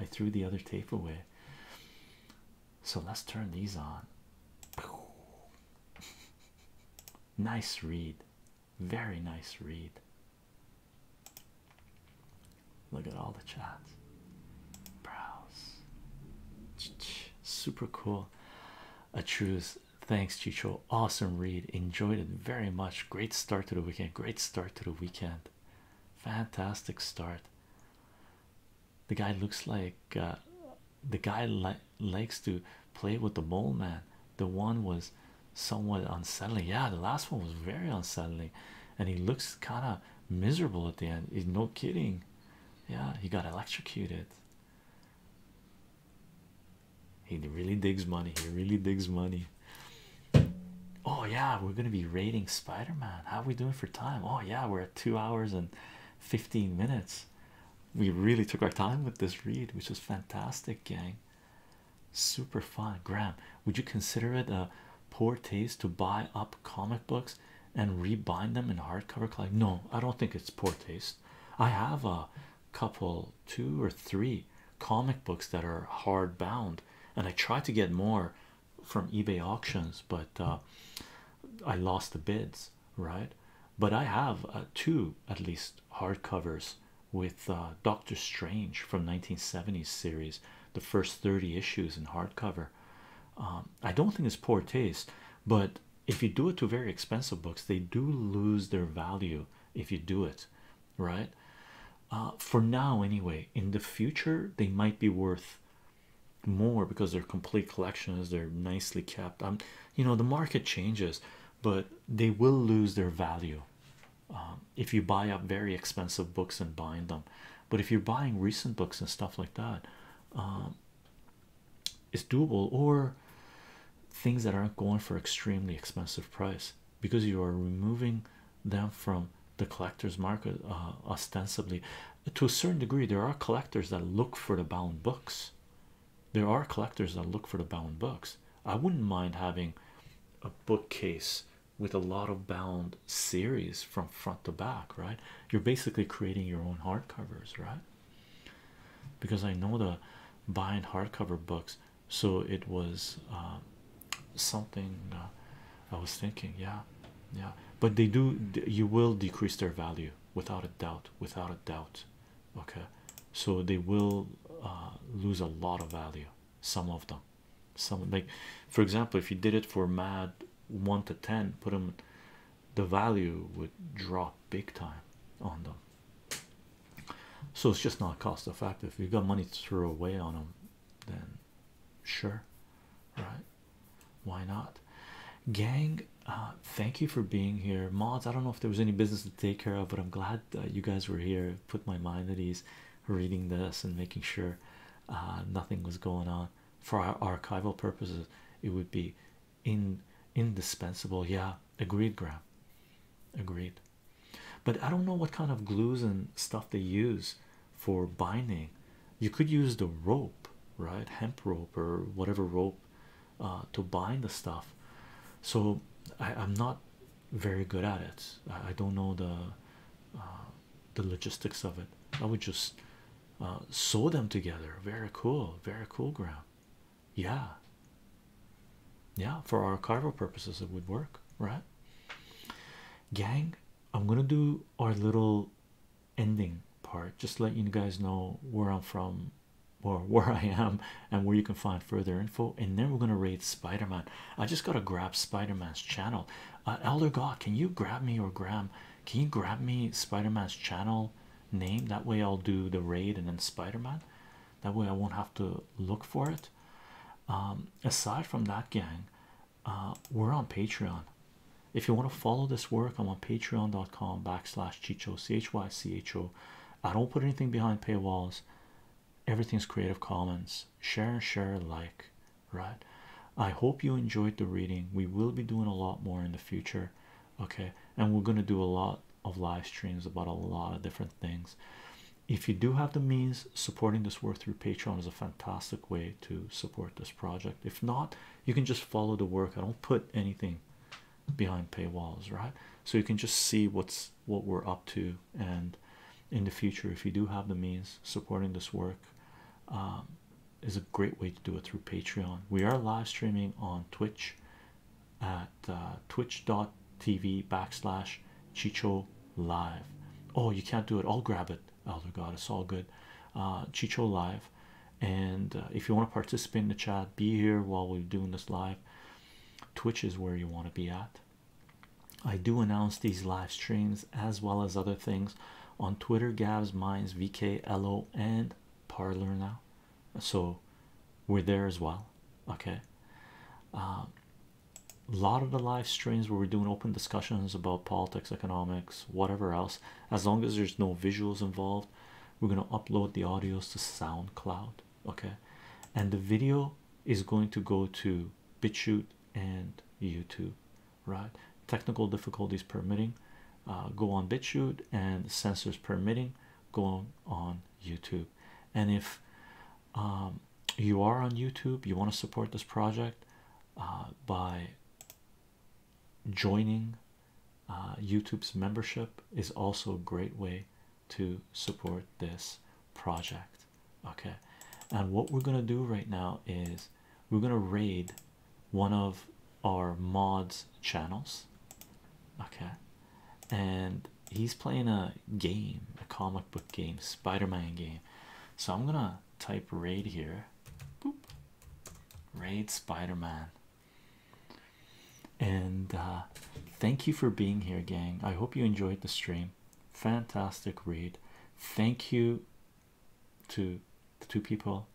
I threw the other tape away. So let's turn these on. nice read. Very nice read. Look at all the chat. Browse. Super cool. A truce. Thanks, Chicho. Awesome read. Enjoyed it very much. Great start to the weekend. Great start to the weekend. Fantastic start. The guy looks like uh, the guy li likes to play with the mole man. The one was somewhat unsettling. Yeah, the last one was very unsettling, and he looks kind of miserable at the end. He's no kidding. Yeah, he got electrocuted. He really digs money. He really digs money. Oh yeah, we're gonna be rating Spider-Man. How are we doing for time? Oh yeah, we're at two hours and 15 minutes. We really took our time with this read, which was fantastic, gang. Super fun. Graham, would you consider it a poor taste to buy up comic books? and rebind them in hardcover collect? No, I don't think it's poor taste. I have a couple, two or three comic books that are hardbound, and I try to get more from eBay auctions, but uh, I lost the bids, right? But I have uh, two at least hardcovers with uh, Doctor Strange from 1970s series, the first 30 issues in hardcover. Um, I don't think it's poor taste, but if you do it to very expensive books they do lose their value if you do it right uh, for now anyway in the future they might be worth more because they're complete collections they're nicely kept um you know the market changes but they will lose their value um, if you buy up very expensive books and bind them but if you're buying recent books and stuff like that um, is doable or things that aren't going for extremely expensive price because you are removing them from the collector's market uh, ostensibly to a certain degree there are collectors that look for the bound books there are collectors that look for the bound books i wouldn't mind having a bookcase with a lot of bound series from front to back right you're basically creating your own hardcovers right because I know the buying hardcover books, so it was um, something uh, I was thinking, yeah, yeah, but they do, you will decrease their value without a doubt, without a doubt, okay, so they will uh, lose a lot of value, some of them, some like for example, if you did it for mad one to ten, put them the value would drop big time on them. So it's just not cost effective. If you've got money to throw away on them, then sure, right? Why not? Gang, uh, thank you for being here. Mods, I don't know if there was any business to take care of, but I'm glad you guys were here. Put my mind at ease reading this and making sure uh, nothing was going on. For our archival purposes, it would be in indispensable yeah agreed graham agreed but i don't know what kind of glues and stuff they use for binding you could use the rope right hemp rope or whatever rope uh, to bind the stuff so I, am not very good at it i, don't know the uh, the logistics of it i would just uh, sew them together. Very cool, very cool, Graham. Yeah, yeah, for our carving purposes, it would work, right? Gang, I'm gonna do our little ending part just to let you guys know where I'm from or where I am and where you can find further info. And then we're gonna raid Spider Man. I just gotta grab Spider Man's channel. Uh, Elder God, can you grab me or Graham? Can you grab me Spider Man's channel? name that way I'll do the raid and then Spider-Man that way I won't have to look for it um, aside from that gang uh, we're on Patreon if you want to follow this work I'm on patreon.com backslash chicho chycho I don't put anything behind paywalls everything's creative commons share share like right I hope you enjoyed the reading we will be doing a lot more in the future okay and we're going to do a lot of live streams about a lot of different things if you do have the means supporting this work through patreon is a fantastic way to support this project if not you can just follow the work i don't put anything behind paywalls right so you can just see what's what we're up to and in the future if you do have the means supporting this work um, is a great way to do it through Patreon. We are live streaming on Twitch at uh, twitch.tv backslash Chicho Live. Oh, you can't do it. I'll grab it, Elder God. It's all good. Uh, Chicho Live. And uh, if you want to participate in the chat, be here while we're doing this live. Twitch is where you want to be at. I do announce these live streams as well as other things on Twitter, Gavs, Minds, VK, LO, and Parlor now so we're there as well okay a uh, lot of the live streams where we're doing open discussions about politics economics whatever else as long as there's no visuals involved we're going to upload the audios to soundcloud okay and the video is going to go to bitchute and youtube right technical difficulties permitting uh, go on BitChute and censors permitting go on, YouTube and if um, you are on YouTube you want to support this project uh, by joining uh, YouTube's membership is also a great way to support this project okay and what we're gonna do right now is we're gonna raid one of our mods channels okay and he's playing a game a comic book game spider-man game so i'm gonna type raid here Boop. raid spider-man and uh thank you for being here gang i hope you enjoyed the stream fantastic read thank you to the two people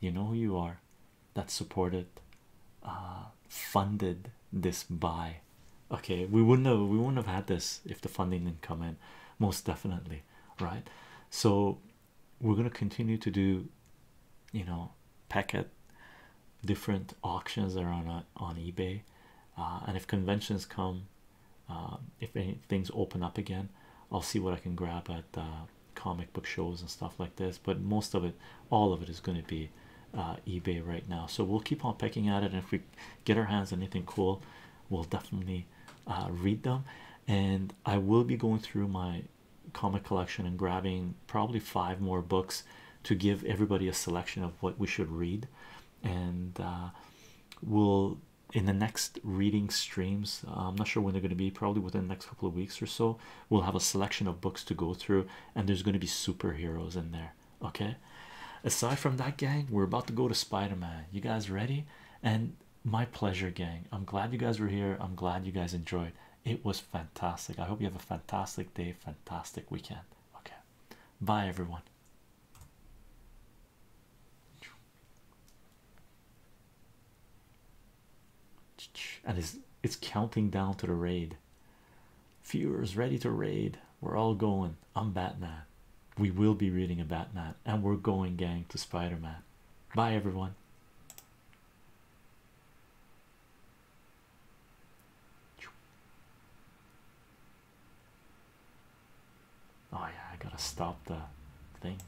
you know who you are that supported uh funded this by. okay we wouldn't have we wouldn't have had this if the funding didn't come in most definitely right so we're going to continue to do you know packet different auctions that are on uh, on ebay uh, and if conventions come uh, if any things open up again i'll see what i can grab at uh, comic book shows and stuff like this, but most of it, all of it, is going to be uh, eBay right now. So we'll keep on pecking at it, and if we get our hands anything cool, we'll definitely uh, read them. And I will be going through my comic collection and grabbing probably five more books to give everybody a selection of what we should read, and uh, we'll in the next reading streams. I'm not sure when they're going to be, probably within the next couple of weeks or so we'll have a selection of books to go through and there's going to be superheroes in there okay aside from that gang we're about to go to spider-man you guys ready and my pleasure gang i'm glad you guys were here i'm glad you guys enjoyed it was fantastic i hope you have a fantastic day fantastic weekend okay bye everyone and it's it's counting down to the raid. Viewers ready to raid. We're all going. I'm Batman. We will be reading a Batman, and we're going, gang, to Spider Man. Bye, everyone. Oh, yeah, I gotta stop the thing.